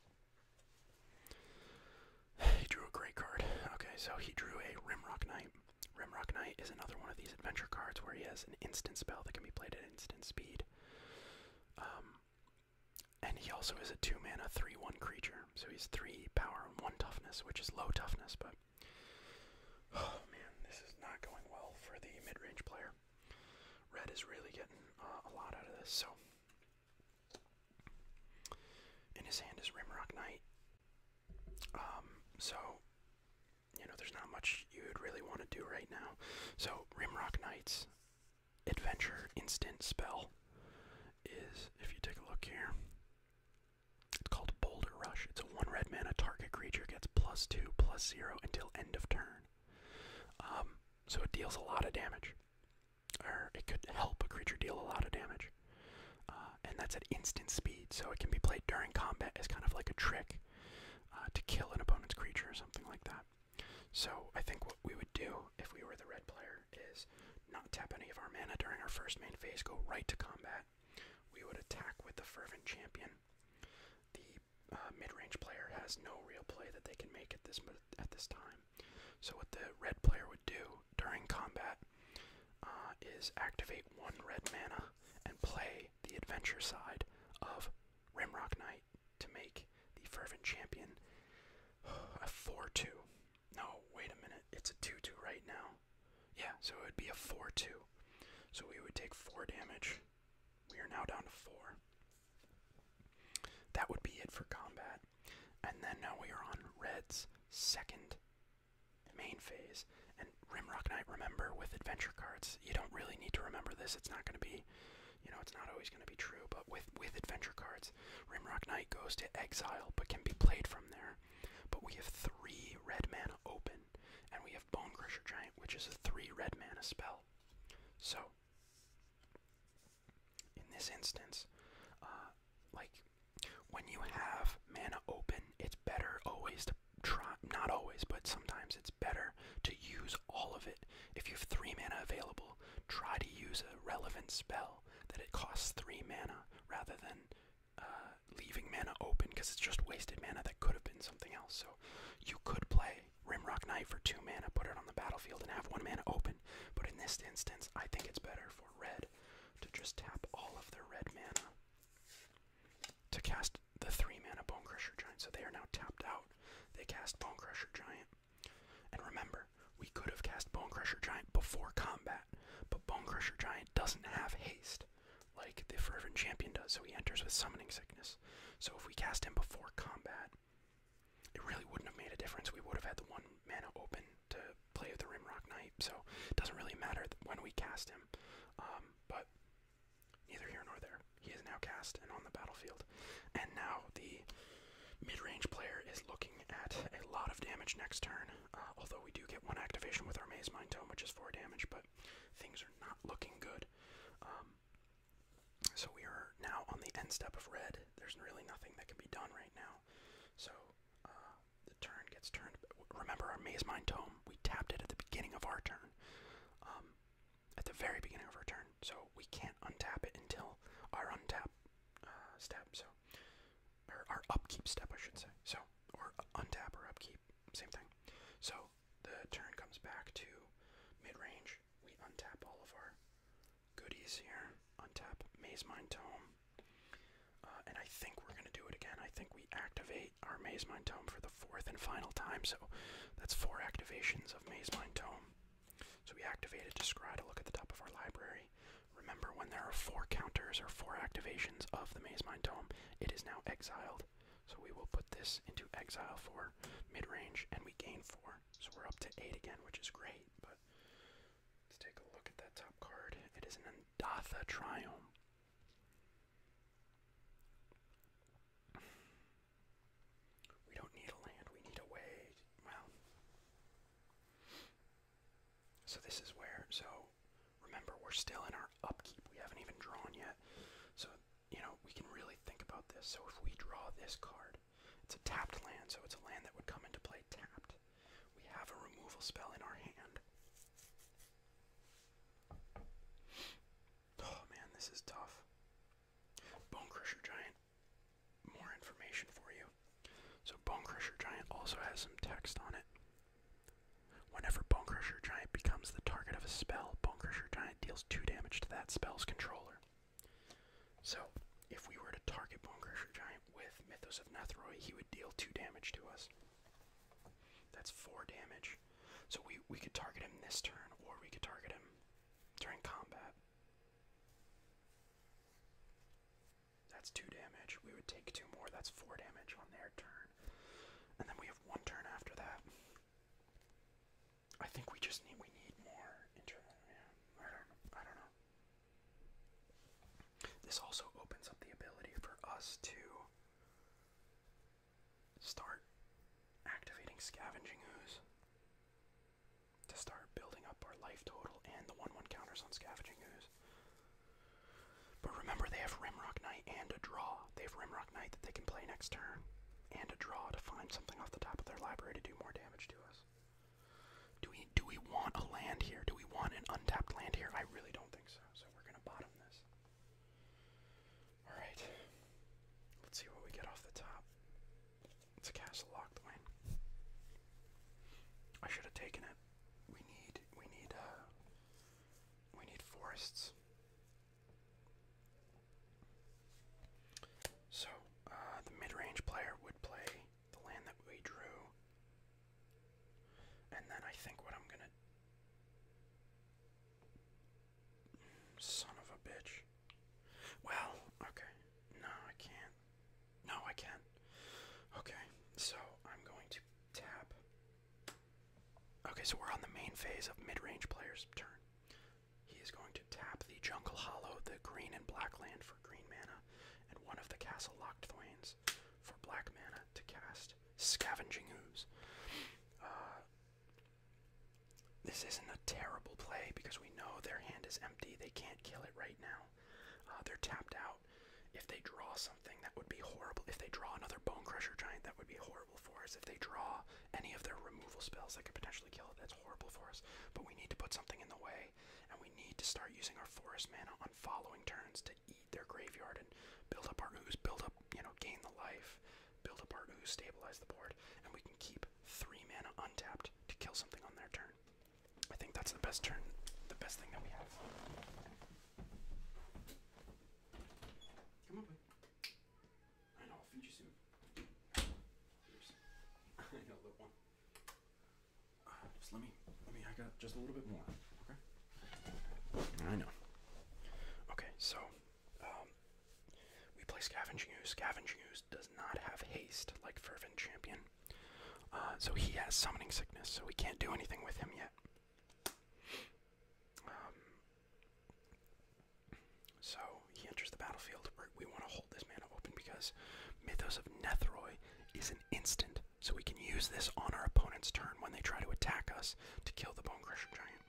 He drew a great card. Okay, so he drew a Rimrock Knight. Rimrock Knight is another one of these adventure cards where he has an instant spell that can be played at instant speed. Um, and he also is a two mana, three one creature. So he's three power and one toughness, which is low toughness, but oh man, this is not going well for the mid range player. Red is really getting uh, a lot out of this. So in his hand is Rimrock Knight. Um, so you know, there's not much you would really want to do right now. So, Rimrock Knights Adventure Instant Spell is, if you take a look here, it's called Boulder Rush. It's a one red mana target creature gets plus two, plus zero until end of turn. Um, so it deals a lot of damage, or it could help a creature deal a lot of damage. Uh, and that's at instant speed, so it can be played during combat as kind of like a trick uh, to kill an opponent's creature or something like that. So I think what we would do if we were the red player is not tap any of our mana during our first main phase, go right to combat. We would attack with the Fervent Champion. The uh, mid-range player has no real play that they can make at this at this time. So what the red player would do during combat uh, is activate one red mana and play the adventure side of Rimrock Knight to make the Fervent Champion a 4 2. No, wait a minute. It's a 2 2 right now. Yeah, so it would be a 4 2. So we would take 4 damage. We are now down to 4. That would be it for combat. And then now we are on Red's second main phase. And Rimrock Knight, remember, with adventure cards, you don't really need to remember this. It's not going to be, you know, it's not always going to be true. But with, with adventure cards, Rimrock Knight goes to exile, but can be played from there. But we have three red mana open, and we have Bone Crusher Giant, which is a three red mana spell. So, in this instance, uh, like, when you have mana open, it's better always to try not always, but sometimes it's better to use all of it. If you have three mana available, try to use a relevant spell that it costs three mana rather than uh, leaving mana open because it's just wasted mana that could have been something else. So you could play Rimrock Knight for two mana, put it on the battlefield, and have one mana open. But in this instance, I think it's better for red to just tap all of their red mana to cast the three mana Bone Crusher Giant, so they are now tapped out. They cast Bone Crusher Giant. And remember, we could have cast Bone Crusher Giant before combat, but Bone Crusher Giant doesn't have haste like the Fervent Champion does, so he enters with Summoning Sickness. So if we cast him before combat, it really wouldn't have made a difference. We would have had the one mana open to play with the Rimrock Knight, so it doesn't really matter when we cast him. Um, but Neither here nor there. He is now cast and on the battlefield. And now the mid range player is looking at a lot of damage next turn. Uh, although we do get one activation with our Maze Mind Tome, which is 4 damage, but things are not looking good. Um, so we are now on the end step of red. There's really nothing that can be done right now. So uh, the turn gets turned. Remember, our Maze Mind Tome um, we tapped it at the beginning of our turn. Um, at the very beginning of our turn. So we can't untap it until our untap uh, step. So, our upkeep step, I should say. So, or untap or upkeep, same thing. So the turn comes back to mid range. We untap all of our goodies here. Untap Maze Mind Tome. Uh, and I think we're going to do it again. I think we activate our Maze Mind Tome for the fourth and final time. So that's four activations of Maze Mind Tome. So we activated to scry to look at the top of our library. Remember, when there are four counters or four activations of the Maze Mind Tome, it is now exiled. So we will put this into exile for mid range, and we gain four. So we're up to eight again, which is great. But let's take a look at that top card. It is an Andatha Triome. We don't need a land, we need a way. Well. So this is where, so remember we're still in our upkeep. We haven't even drawn yet. So, you know, we can really think about this. So if we draw this card, it's a tapped land, so it's a land that would come into play tapped. We have a removal spell in our hand. Oh man, this is tough. Bone Crusher Giant, more information for you. So, Bone Giant also has some text on it. Whenever Bone Crusher Giant becomes the target of a spell, Bone Crusher Giant deals 2 damage to that spell's controller. So, if we were to target Bone Crusher Giant with Mythos of Nethroi, he would deal 2 damage to us. That's four damage. So we we could target him this turn, or we could target him during combat. That's two damage. We would take two more. That's four damage on their turn. And then we have one turn after that. I think we just need we need more I don't I don't know. This also opens up the ability for us to start activating Scavenging Ooze to start building up our life total and the 1 1 counters on Scavenging Ooze. But remember, they have Rimrock Knight and a draw. They have Rimrock Knight that they can play next turn and a draw to find something off the top of their library to do more damage to us. Do we do we want a land here? Do we want an untapped land here? I really don't think so. So we're gonna bottom this. Alright. Let's see what we get off the top. It's a castle locked lane. I should have taken it. We need we need uh, we need forests. So, uh, the mid-range player would play the land that we drew. And then I think what I'm gonna Son of a bitch. Well, okay. No, I can't. No, I can. Okay, so I'm going to tap. Okay, so we're on the main phase of mid player's turn. He is going to tap the Jungle Hollow, the green and black land for green mana, and one of the Castle Locked Thwains for black mana to cast Scavenging Ooze. Uh, this isn't a terrible play because we know their hand is empty. They can't kill it right now. Uh, they're tapped out. If they draw something, that would be horrible. If they draw another Bone Crusher Giant, that would be horrible for us. If they draw any of their removal spells that could potentially kill it, that's horrible for us. But we need to put something in the way, and we need to start using our Forest Mana on following turns to eat their graveyard and build up our ooze, build up, you know, gain the life, build up our ooze, stabilize the board, and we can keep three mana untapped to kill something on their turn. I think that's the best turn, the best thing that we have. Come on, I know, I'll feed you soon. Here's. I one. Uh, just let me, let me, I got just a little bit more, okay? I know. Okay, so um, we play Scavenging Ooze. Scavenging Ooze does not have haste like Fervent Champion. Uh, so he has Summoning Sickness, so we can't do anything with him yet. Um, so he enters the battlefield. we want to hold this mana open because Mythos of Netheroi is an instant, so we can use this on our opponent's turn when they try to attack us to kill the Bone Crusher Giant.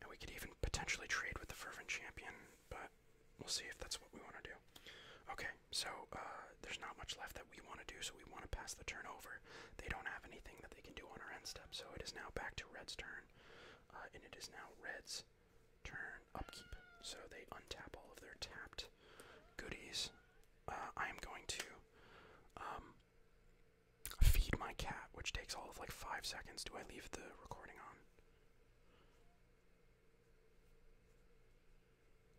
And we could even potentially trade with the Fervent Champion, but we'll see if that's what we want to do. Okay, so uh, there's not much left that we want to do, so we want to pass the turn over. They don't have anything that they can do on our end step, so it is now back to Red's turn. Uh, and it is now Red's turn upkeep. So they untap all of their tapped goodies. Uh, I am going to um, feed my cat, which takes all of like five seconds. Do I leave the recording on?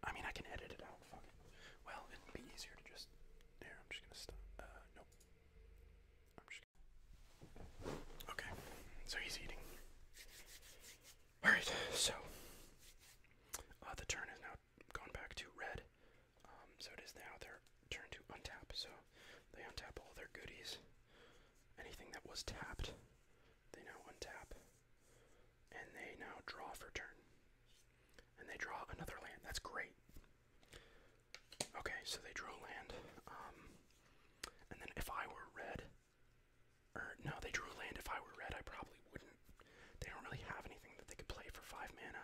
I mean, I can edit it out. Fuck it. Well, it'd be easier to just. There, I'm just gonna stop. Uh, nope. I'm just. Okay, so he's eating. All right, so uh, the turn is now gone back to red. Um, so it is now their turn to untap. So they untap all their goodies. Anything that was tapped, they now untap. And they now draw for turn. And they draw another land. That's great. Okay, so they drew a land. Um, and then if I were red, or no, they drew land. If I were red, I probably wouldn't. They don't really have anything that they could play for five mana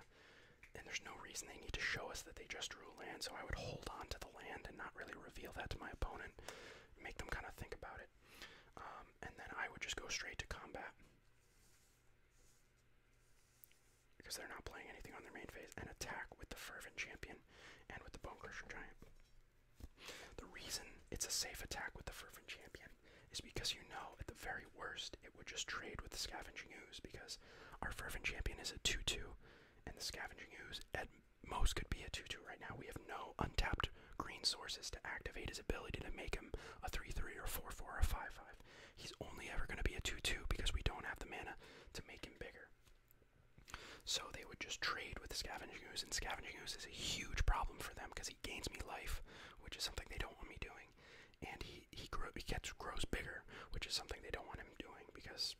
and there's no reason they need to show us that they just drew land, so I would hold on to the land and not really reveal that to my opponent, make them kind of think about it. Um, and then I would just go straight to combat. Because they're not playing anything on their main phase, and attack with the Fervent Champion and with the Bone Crusher Giant. The reason it's a safe attack with the Fervent Champion is because you know at the very worst it would just trade with the Scavenging Ooze because our Fervent Champion is a 2 2, and the Scavenging Ooze at most could be a 2 2 right now. We have no untapped green sources to activate his ability to make him a 3 3 or 4 4 or 5 5. He's only ever going to be a 2 2 because we don't have the mana to make him bigger. So they would just trade with the Scavenging Ooze, and Scavenging Ooze is a huge problem for them because he gains me life, which is something they don't want me doing. And he gets grows bigger, which is something they don't want him doing because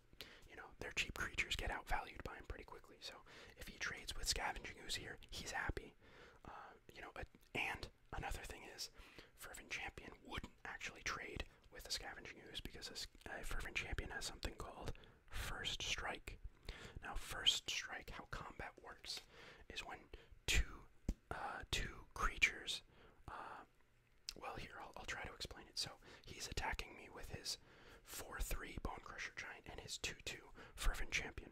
you know their cheap creatures get outvalued by him pretty quickly. So if he trades with Scavenging Ooze here, he's happy. Uh, you know, and another thing is, Fervent Champion wouldn't actually trade with a Scavenging Ooze because a, a Fervent Champion has something called First Strike. Now, First Strike, how combat works, is when two uh, two creatures. Um, well, here, I'll, try to explain it. So he's attacking me with his 4 3 Bone Crusher Giant and his 2 2 Fervent Champion.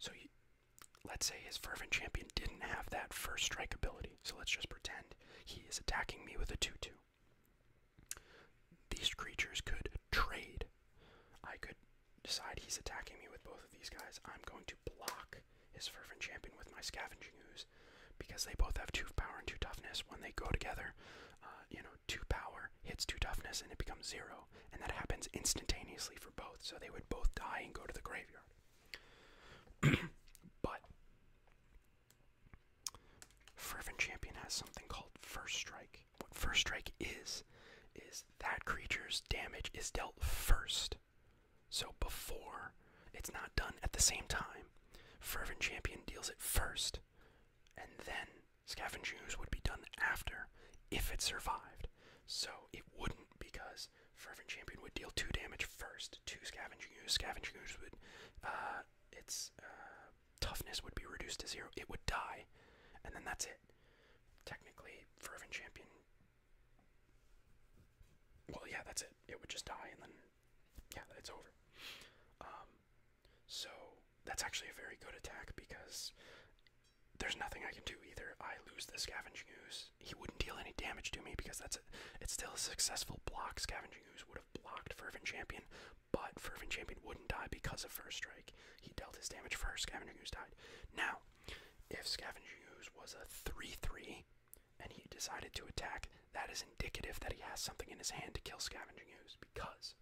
So let's say his Fervent Champion didn't have that first strike ability. So let's just pretend he is attacking me with a 2 2. These creatures could trade. I could decide he's attacking me with both of these guys. I'm going to block Shock his Fervent Champion with my Scavenging Ooze because they both have 2 power and 2 toughness. When they go together, uh, you know, 2 power hits 2 toughness and it becomes 0. And that happens instantaneously for both, so they would both die and go to the graveyard. but Fervent Champion has something called First Strike. What First Strike is, is that creature's damage is dealt first so before it's not done at the same time, Fervent Champion deals it first, and then Scavenge Ooze would be done after if it survived. So it wouldn't because Fervent Champion would deal two damage first to Scavenging Ooze. Scavenging Ooze would, uh, its uh, toughness would be reduced to zero. It would die, and then that's it. Technically, Fervent Champion. Well, yeah, that's it. It would just die, and then yeah, it's over. Um, so that's actually a very good attack because there's nothing I can do either. I lose the scavenging use. He wouldn't deal any damage to me because that's a, it's still a successful block. Scavenging use would have blocked Fervent Champion, but Fervent Champion wouldn't die because of First Strike. He dealt his damage first. Scavenging use died. Now, if Scavenging use was a three-three, and he decided to attack, that is indicative that he has something in his hand to kill Scavenging Ooze because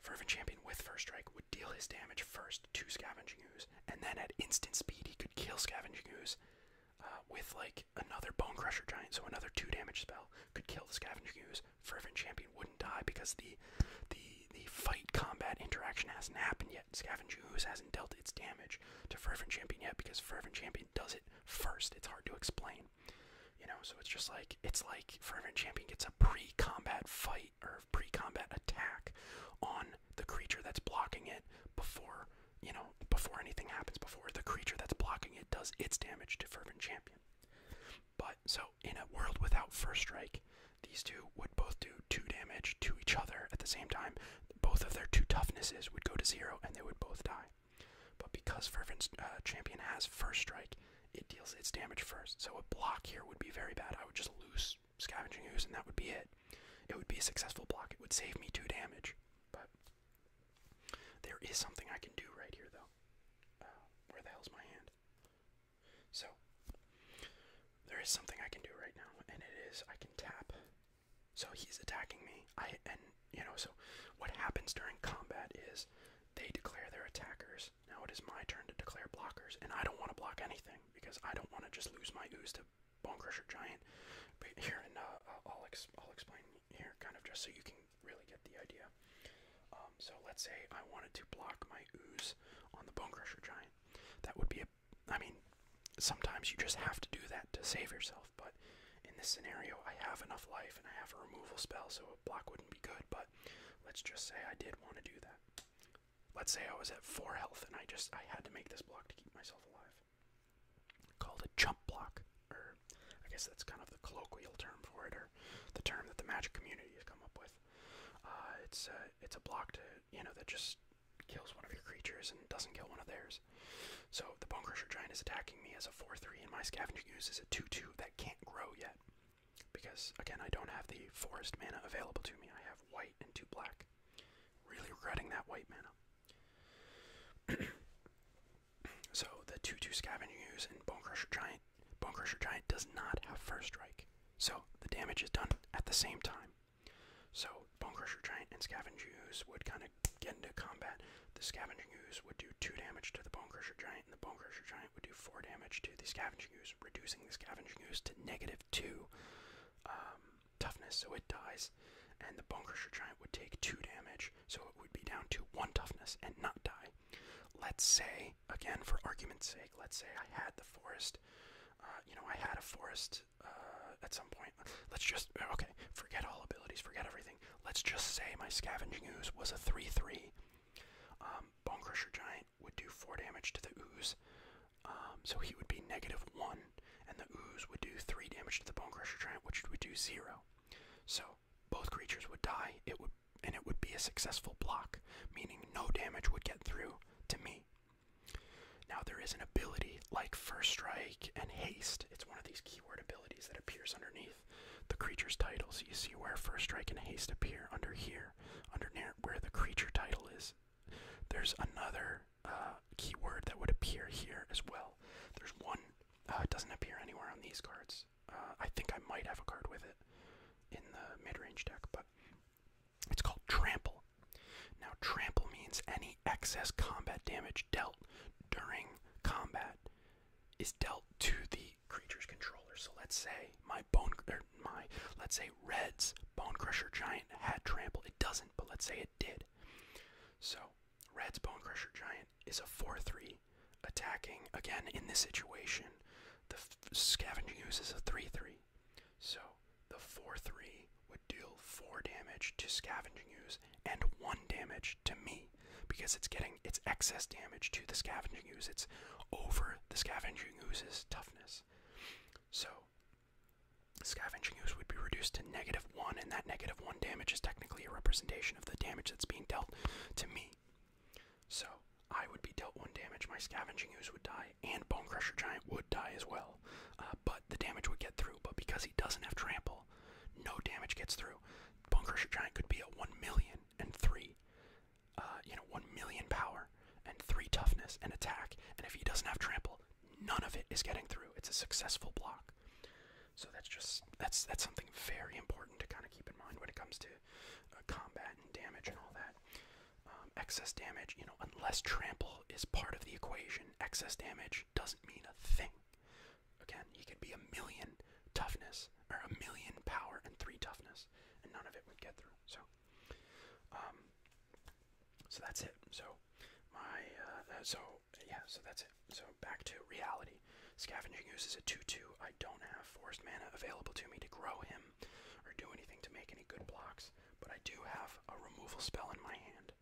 Fervent Champion with First Strike would deal his damage first to Scavenging Ooze, and then at instant speed he could kill Scavenging Ooze uh, with like another Bone Crusher Giant, so another two damage spell could kill the Scavenging Ooze. Fervent Champion wouldn't die because the the the fight combat interaction hasn't happened yet. Scavenging Ooze hasn't dealt its damage to Fervent Champion yet because Fervent Champion does it first. It's hard to explain. You know, so it's just like it's like Fervent Champion gets a pre-combat fight or pre-combat attack on the creature that's blocking it before you know before anything happens before the creature that's blocking it does its damage to Fervent Champion. But so in a world without first strike, these two would both do two damage to each other at the same time. Both of their two toughnesses would go to zero and they would both die. But because Fervent uh, Champion has First Strike, it deals its damage first. So a block here would be very bad. I would just lose Scavenging Ooze and that would be it. It would be a successful block. It would save me 2 damage. But there is something I can do right here, though. Uh, where the hell's my hand? So, there is something I can do right now, and it is I can tap so he's attacking me. I and you know, so what happens during combat is they declare their attackers. Now it is my turn to declare blockers, and I don't want to block anything because I don't want to just lose my ooze to Bone Crusher Giant. But here, and uh, I'll ex I'll explain here, kind of just so you can really get the idea. Um, so let's say I wanted to block my ooze on the Bone Crusher Giant. That would be a, I mean, sometimes you just have to do that to save yourself, but in this scenario, I have enough life and I have a removal spell, so a block wouldn't be good. But let's just say I did want to do that. Let's say I was at four health and I just I had to make this block to keep myself alive. Called a jump block, or I guess that's kind of the colloquial term for it, or the term that the magic community has come up with. Uh, it's it's a block to you know that just kills one of your creatures and doesn't kill one of theirs. So the Bone Crusher Giant is attacking me as a 4-3, and my Scavenger Ooze is a 2-2 that can't grow yet. Because, again, I don't have the forest mana available to me. I have white and two black. Really regretting that white mana. so the 2-2 Scavenger use and Bone Crusher Giant, Bone Crusher Giant does not have First Strike. So the damage is done at the same time. So Bone Crusher Giant and Scavenger use would kind of get into combat, the Scavenging Ooze would do 2 damage to the Bone Crusher Giant, and the Bone Crusher Giant would do 4 damage to the Scavenging Ooze, reducing the Scavenging Ooze to negative 2 um, toughness, so it dies. And the Bone Crusher Giant would take 2 damage, so it would be down to 1 toughness and not die. Let's say, again, for argument's sake, let's say I had the forest. Uh, you know, I had a forest uh, at some point let's just uh, okay, forget all abilities, forget everything. Let's just say my scavenging ooze was a 3-3. Um, Bone Crusher Giant would do 4 damage to the ooze. Um, so he would be negative 1, and the ooze would do 3 damage to the Bone Crusher Giant, which would do 0. So both creatures would die, it would and it would be a successful block, meaning no damage would get through to me. Now there is an ability like First Strike and Haste. It's one of these keyword abilities that appears underneath the creature's title. So you see where first strike and haste appear under here, under near where the creature title is. There's another uh, keyword that would appear here as well. There's one uh, it doesn't appear anywhere on these cards. Uh, I think I might have a card with it in the mid-range deck, but it's called trample. Now trample means any excess combat damage dealt during combat is dealt to the creature's controller. So let's say my bone or er, my let's say Red's Bone Crusher Giant had trample. It doesn't, but let's say it did. So Red's Bone Crusher Giant is a 4-3 attacking again in this situation. The scavenging ooze is a 3-3. So the 4-3 would deal 4 damage to scavenging ooze and 1 damage to me because it's getting it's excess damage to the scavenging ooze. It's over the scavenging ooze's toughness. So scavenging ooze would be reduced to negative one, and that negative one damage is technically a representation of the damage that's being dealt to me. So I would be dealt one damage, my scavenging ooze would die, and Bone Crusher Giant would die as well. Uh, but the damage would get through. But because he doesn't have trample, no damage gets through. Bone Crusher Giant could be a 1 million and 3, uh, you know, 1 million power and 3 toughness and attack. And if he doesn't have trample, none of it is getting through. It's a successful block. So that's just, that's, that's something very important to kind of keep in mind when it comes to uh, combat and damage and all that. Um, excess damage, you know, unless trample is part of the equation, excess damage doesn't mean a thing. Again, he could be a million toughness or a million power and three toughness, and none of it would get through. So, um, so that's it. So, my uh, uh, so yeah, so that's it. So back to reality. Scavenging uses a two-two. I don't have forest mana available to me to grow him or do anything to make any good blocks, but I do have a removal spell in my hand.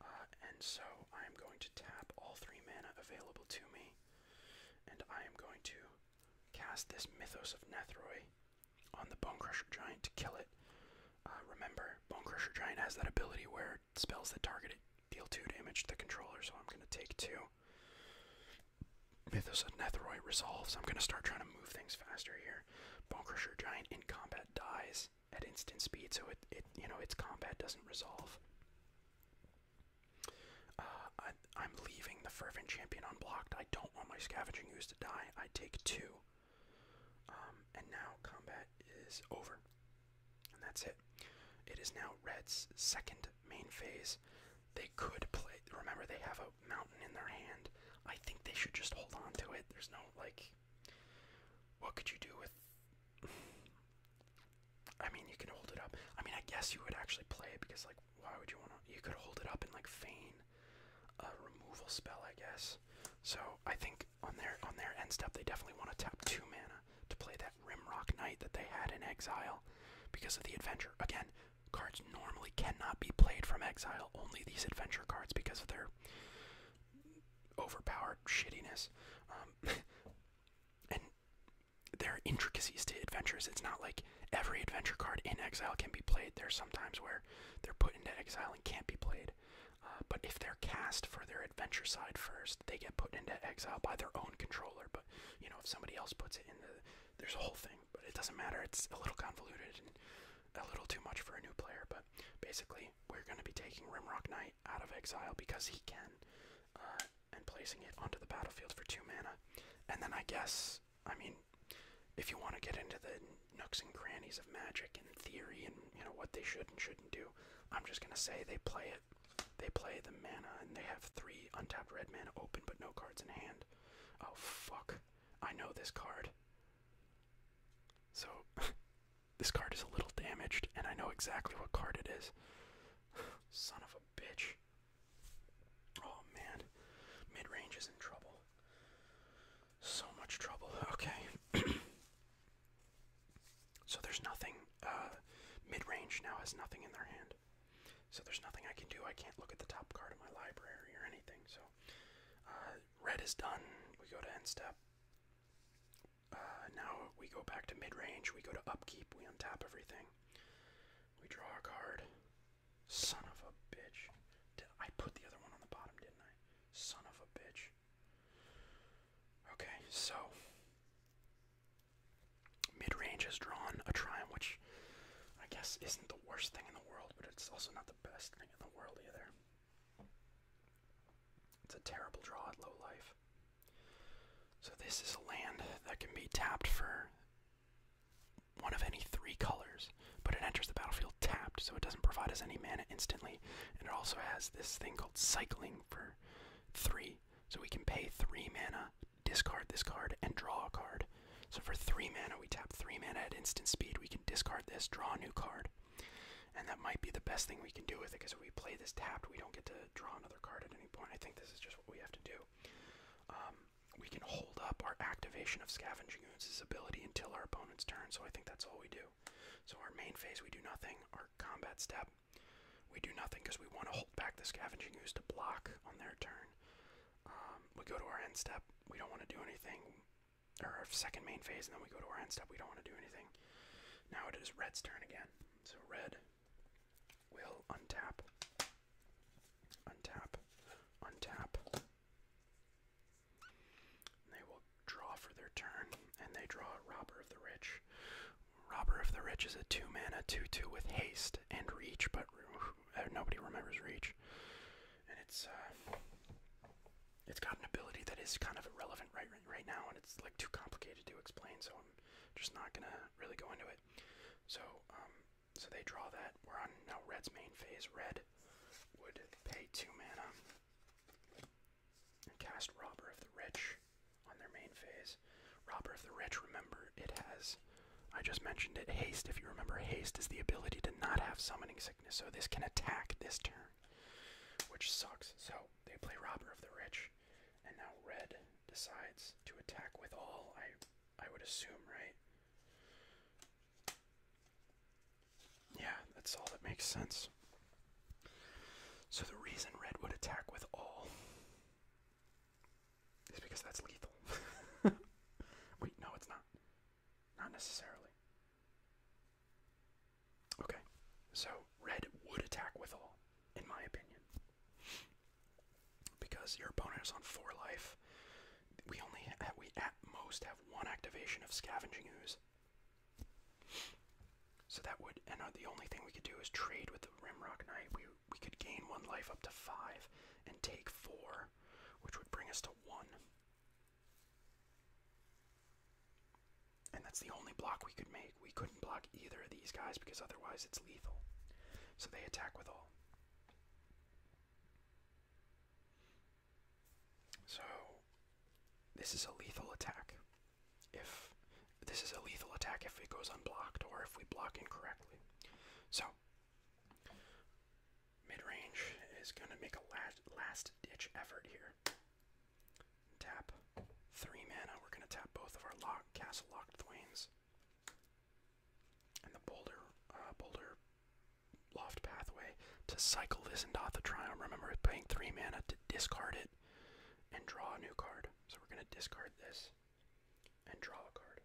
Uh, and so I am going to tap all three mana available to me, and I am going to cast this Mythos of Nethroi on the Bone Crusher Giant to kill it. Uh, remember, Bone Crusher Giant has that ability where spells that target it deal 2 damage to the controller, so I'm going to take 2. Mythos of Netheroi resolves. I'm going to start trying to move things faster here. Bonecrusher Giant in combat dies at instant speed, so it, it you know its combat doesn't resolve. Uh, I, I'm leaving the fervent champion unblocked. I don't want my scavenging ooze to die. I take two, um, and now combat is over, and that's it. It is now Red's second main phase. They could play. Remember, they have a mountain in their hand. I think they should just hold on to it. There's no like. What could you do with? I mean, you can hold it up. I mean, I guess you would actually play it because, like, why would you want to? You could hold it up and like feign a removal spell, I guess. So I think on their on their end step, they definitely want to tap two mana to play that Rim Rock Knight that they had in exile because of the adventure. Again, cards normally cannot be played from exile. Only these adventure cards because of their overpowered shittiness. Um, and there are intricacies to adventures. It's not like every adventure card in exile can be played. There's sometimes where they're put into exile and can't be played. Uh, but if they're cast for their adventure side first, they get put into exile by their own controller. But you know, if somebody else puts it in the, there's a whole thing. But it doesn't matter. It's a little convoluted and a little too much for a new player. But basically, we're going to be taking Rimrock Knight out of exile because he can. Uh, and placing it onto the battlefield for two mana. And then I guess, I mean, if you want to get into the nooks and crannies of Magic and theory and you know what they should and shouldn't do, I'm just gonna say they play it. They play the mana and they have three untapped red mana open but no cards in hand. Oh fuck! I know this card. So This card is a little damaged, and I know exactly what card it is. Son of a bitch. Oh man. Mid range is in trouble. So much trouble. Okay. so there's nothing. Uh, mid range now has nothing in their hand. So there's nothing I can do. I can't look at the top card of my library or anything. So uh, red is done. We go to end step. Uh, now we go back to mid range. We go to upkeep. We untap everything. We draw a card. Son of a bitch. Did I put the other one on the bottom, didn't I? Son of a bitch. Okay, so mid range has drawn a triumph, I guess isn't the worst thing in the world, but it's also not the best thing in the world either. It's a terrible draw at low life. So this is a land that can be tapped for one of any three colors, but it enters the battlefield tapped, so it doesn't provide us any mana instantly. And it also has this thing called cycling for three, so we can pay three mana, discard this card, and draw a card. So for three mana, we tap three mana at instant speed. We can discard this, draw a new card. And that might be the best thing we can do with it, because if we play this tapped, we don't get to draw another card at any point. I think this is just what we have to do. Um, we can hold up our activation of Scavenging Ooze's ability until our opponent's turn, so I think that's all we do. So our main phase, we do nothing. Our combat step, we do nothing because we want to hold back the Scavenging Ooze to block on their turn. Um, we go to our end step, we don't want to do anything. our second main phase, and then we go to our end step, we don't want to do anything. Now it is red's turn again. So red will untap, untap, untap. They will draw for their turn, and they draw a Robber of the Rich. Robber of the Rich is a 2 mana 2 2 with haste and reach, but uh, nobody remembers reach. And it's. Uh, it's got an ability that is kind of irrelevant right, right right now, and it's like too complicated to explain. So so just not gonna really go into it. So, um, so they draw that. We're on now red's main phase. Red would pay two mana and cast Robber of the Rich on their main phase. Robber of the Rich, remember, it has, I just mentioned it, haste. If you remember, haste is the ability to not have summoning sickness, so this can attack this turn, which sucks. So they play Robber of the Rich. And now red decides to attack with all, I I would assume, right? Yeah, that's all that makes sense. So the reason red would attack with all is because that's lethal. Wait, no, it's not. Not necessarily. Okay, so red would attack with all in my opinion. Because your opponent is on four life, we only we at most have one activation of scavenging ooze. So that would, and uh, the only thing we could do is trade with the Rimrock Knight. We we could gain one life up to five and take four, which would bring us to one. And that's the only block we could make. We couldn't block either of these guys because otherwise it's lethal. So they attack with all. So this is a lethal attack. If this is a lethal attack if it goes unblocked or if we block incorrectly. So mid-range is going to make a last, last ditch effort here. Tap three mana. We're gonna tap both of our lock castle locked thwains. And the boulder uh, boulder loft pathway to cycle this into the triumph. Remember we paying three mana to discard it and draw a new card. So we're gonna discard this and draw a card.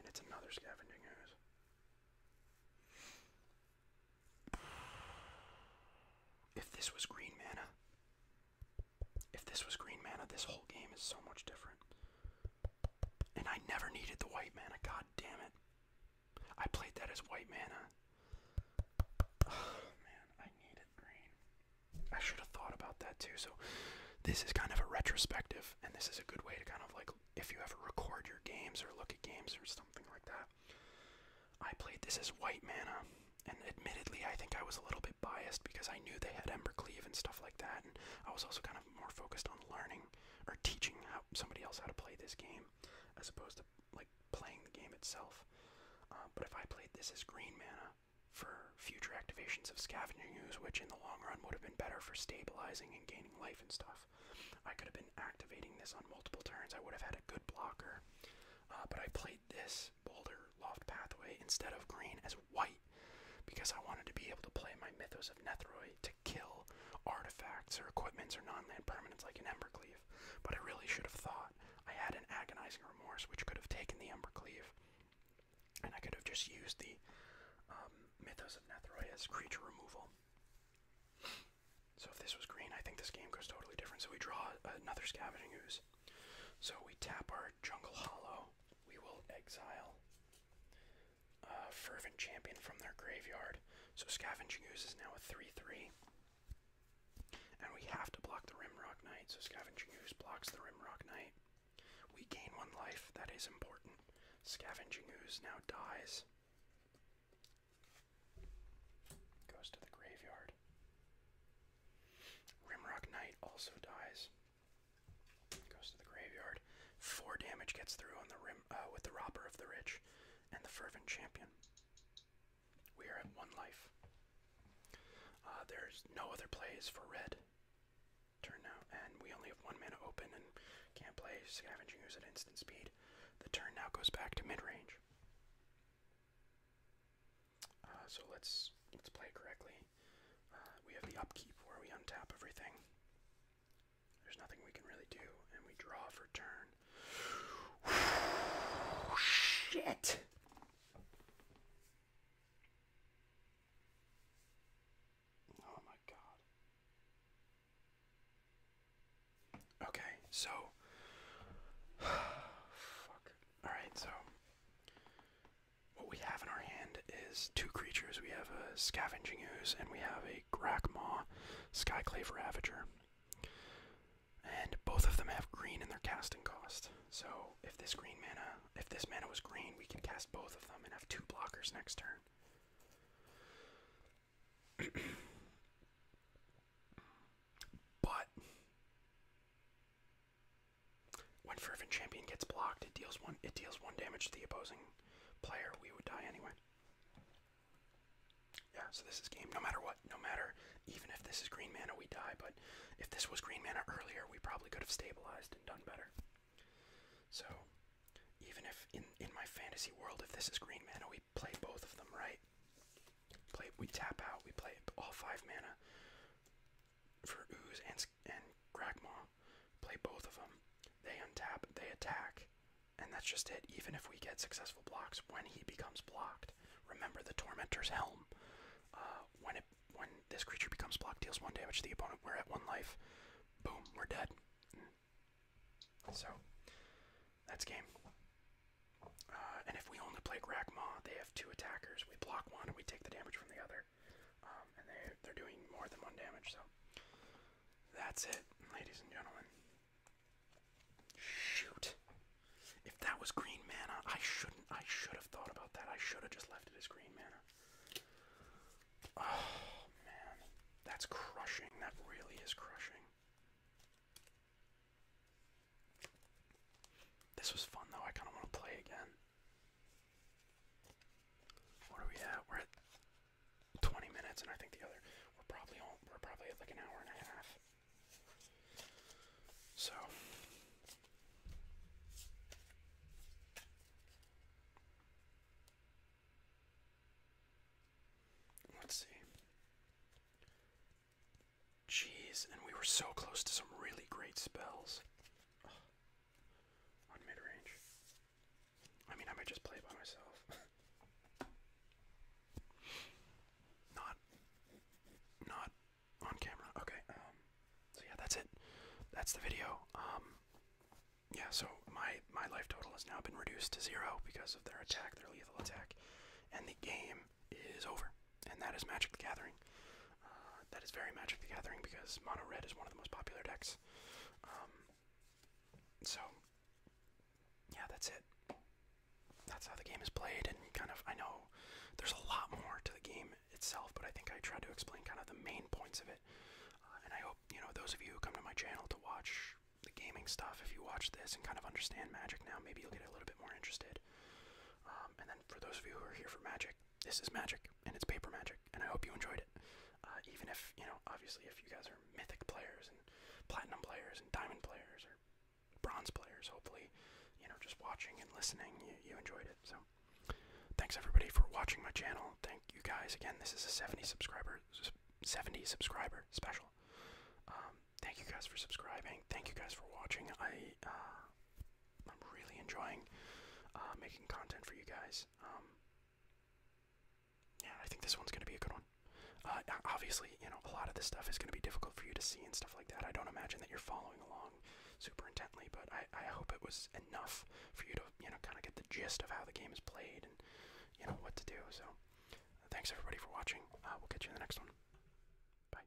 And it's another scavenging ooze. If this was green mana, if this was green mana, this whole game is so much different. And I never needed the white mana, god damn it. I played that as white mana. Oh, man, I needed green. I should have thought about that too. So this is kind of a retrospective, and this is a good way to kind of like if you ever record your games or look at games or something like that. I played this as white mana, and admittedly, I think I was a little bit biased because I knew they had Ember Cleave and stuff like that, and I was also kind of more focused on learning or teaching how somebody else how to play this game, as opposed to like playing the game itself. Uh, but if I played this as green mana for future activations of Scavenging Use, which in the long run would have been better for stabilizing and gaining life and stuff, I could have been activating this on multiple turns. I would have had a good blocker. Uh, but I played this boulder loft pathway instead of green as white because I wanted to be able to play my Mythos of Nethroi to kill artifacts or equipments or non land permanents like an Embercleave. But I really should have thought I had an agonizing remorse which could have taken the Embercleave and I could have just used the um, Mythos of Nethroi as creature removal. So if this was green, I think this game goes totally different. So we draw another Scavenging Ooze. So we tap our Jungle Hollow. We will exile a Fervent Champion from their graveyard. So Scavenging Ooze is now a 3 3. And we have to block the Rimrock Knight. So Scavenging Ooze blocks the Rimrock Knight. We gain one life. That is important. Scavenging Ooze now dies. Goes to the graveyard. Rimrock Knight also dies. Goes to the graveyard. Four damage gets through on the rim uh, with the Robber of the Rich and the Fervent Champion. We are at one life. Uh, there's no other plays for red. Turn now, and we only have one mana open and can't play Scavenging at instant speed. The turn now goes back to mid range. Uh, so let's let's play correctly. Uh, we have the upkeep where we untap everything. There's nothing we can really do, and we draw for turn. Shit! Oh my god. Okay, so. Fuck. Alright, so what we have in our hand is two creatures. We have a Scavenging Ooze and we have a Grakmaw Skyclave And both of them have green in their casting cost. So if this green mana, if this mana was green, we can cast both of them and have two blockers next turn. but when Fervent Champion gets blocked, it deals one it deals one damage to the opposing player. We would die anyway. Yeah, so this is game. No matter what, no matter even if this is green mana, we die. But if this was green mana earlier, we probably could have stabilized and done better. So even if in in my fantasy world, if this is green mana, we play both of them, right? play we tap out, we play all five mana for Ooze and and Grakma. Play both of them. They untap, they attack, and that's just it. Even if we get successful blocks, when he becomes blocked, remember the Tormentor's Helm. Uh, when it when this creature becomes blocked, deals one damage to the opponent. We're at one life. Boom, we're dead. So that's game. Uh, and if we only play Grakma, they have two attackers. We block one and we take the damage from the other. Um, and they, they're doing more than one damage, so. That's it, ladies and gentlemen. Shoot. If that was green mana, I shouldn't. I should have thought about that. I should have just left it as green mana. Oh, man. That's crushing. That really is crushing. This was fun though, I kinda wanna play again. What are we at? We're at 20 minutes and I think the other we're probably we're probably at like an hour and a half. So let's see. Jeez, and we were so close to some really great spells. On mid range. I mean, I might just play by myself. not, not on camera. Okay. Um, so yeah, that's it. That's the video. Um, yeah. So my my life total has now been reduced to zero because of their attack, their lethal attack, and the game is over, and that is Magic the Gathering. Uh, that is very Magic the Gathering because Mono Red is one of the most popular decks. Um, so, yeah, that's it. That's how the game is played, and kind of, I know there's a lot more to the game itself, but I think I tried to explain kind of the main points of it. Uh, and I hope, you know, those of you who come to my channel to watch the gaming stuff, if you watch this and kind of understand Magic now, maybe you'll get a little bit more interested. Um, and for those of you who are here for Magic, this is Magic, and it's paper Magic, and I hope you enjoyed it. Uh, even if, you know, obviously if you guys are Mythic players, and Platinum players, and Diamond players, or Bronze players, hopefully, you know, just watching and listening, you, enjoyed it. So, thanks everybody for watching my channel. Thank you guys again. This is a 70 subscriber, 70 subscriber special. Um, thank you guys for subscribing. Thank you guys for watching. I, uh, I'm really enjoying uh, making content for you guys. Um, yeah, I think this one's gonna be a good one. Uh, obviously, you know, a lot of this stuff is gonna be difficult for you to see and stuff like that. I don't imagine that you're following along super intently, but I, hope it was enough for you to, you know, kind of get the gist of how the game is played and, you know, what to do. So, thanks everybody for watching. Uh, we'll catch you in the next one. Bye.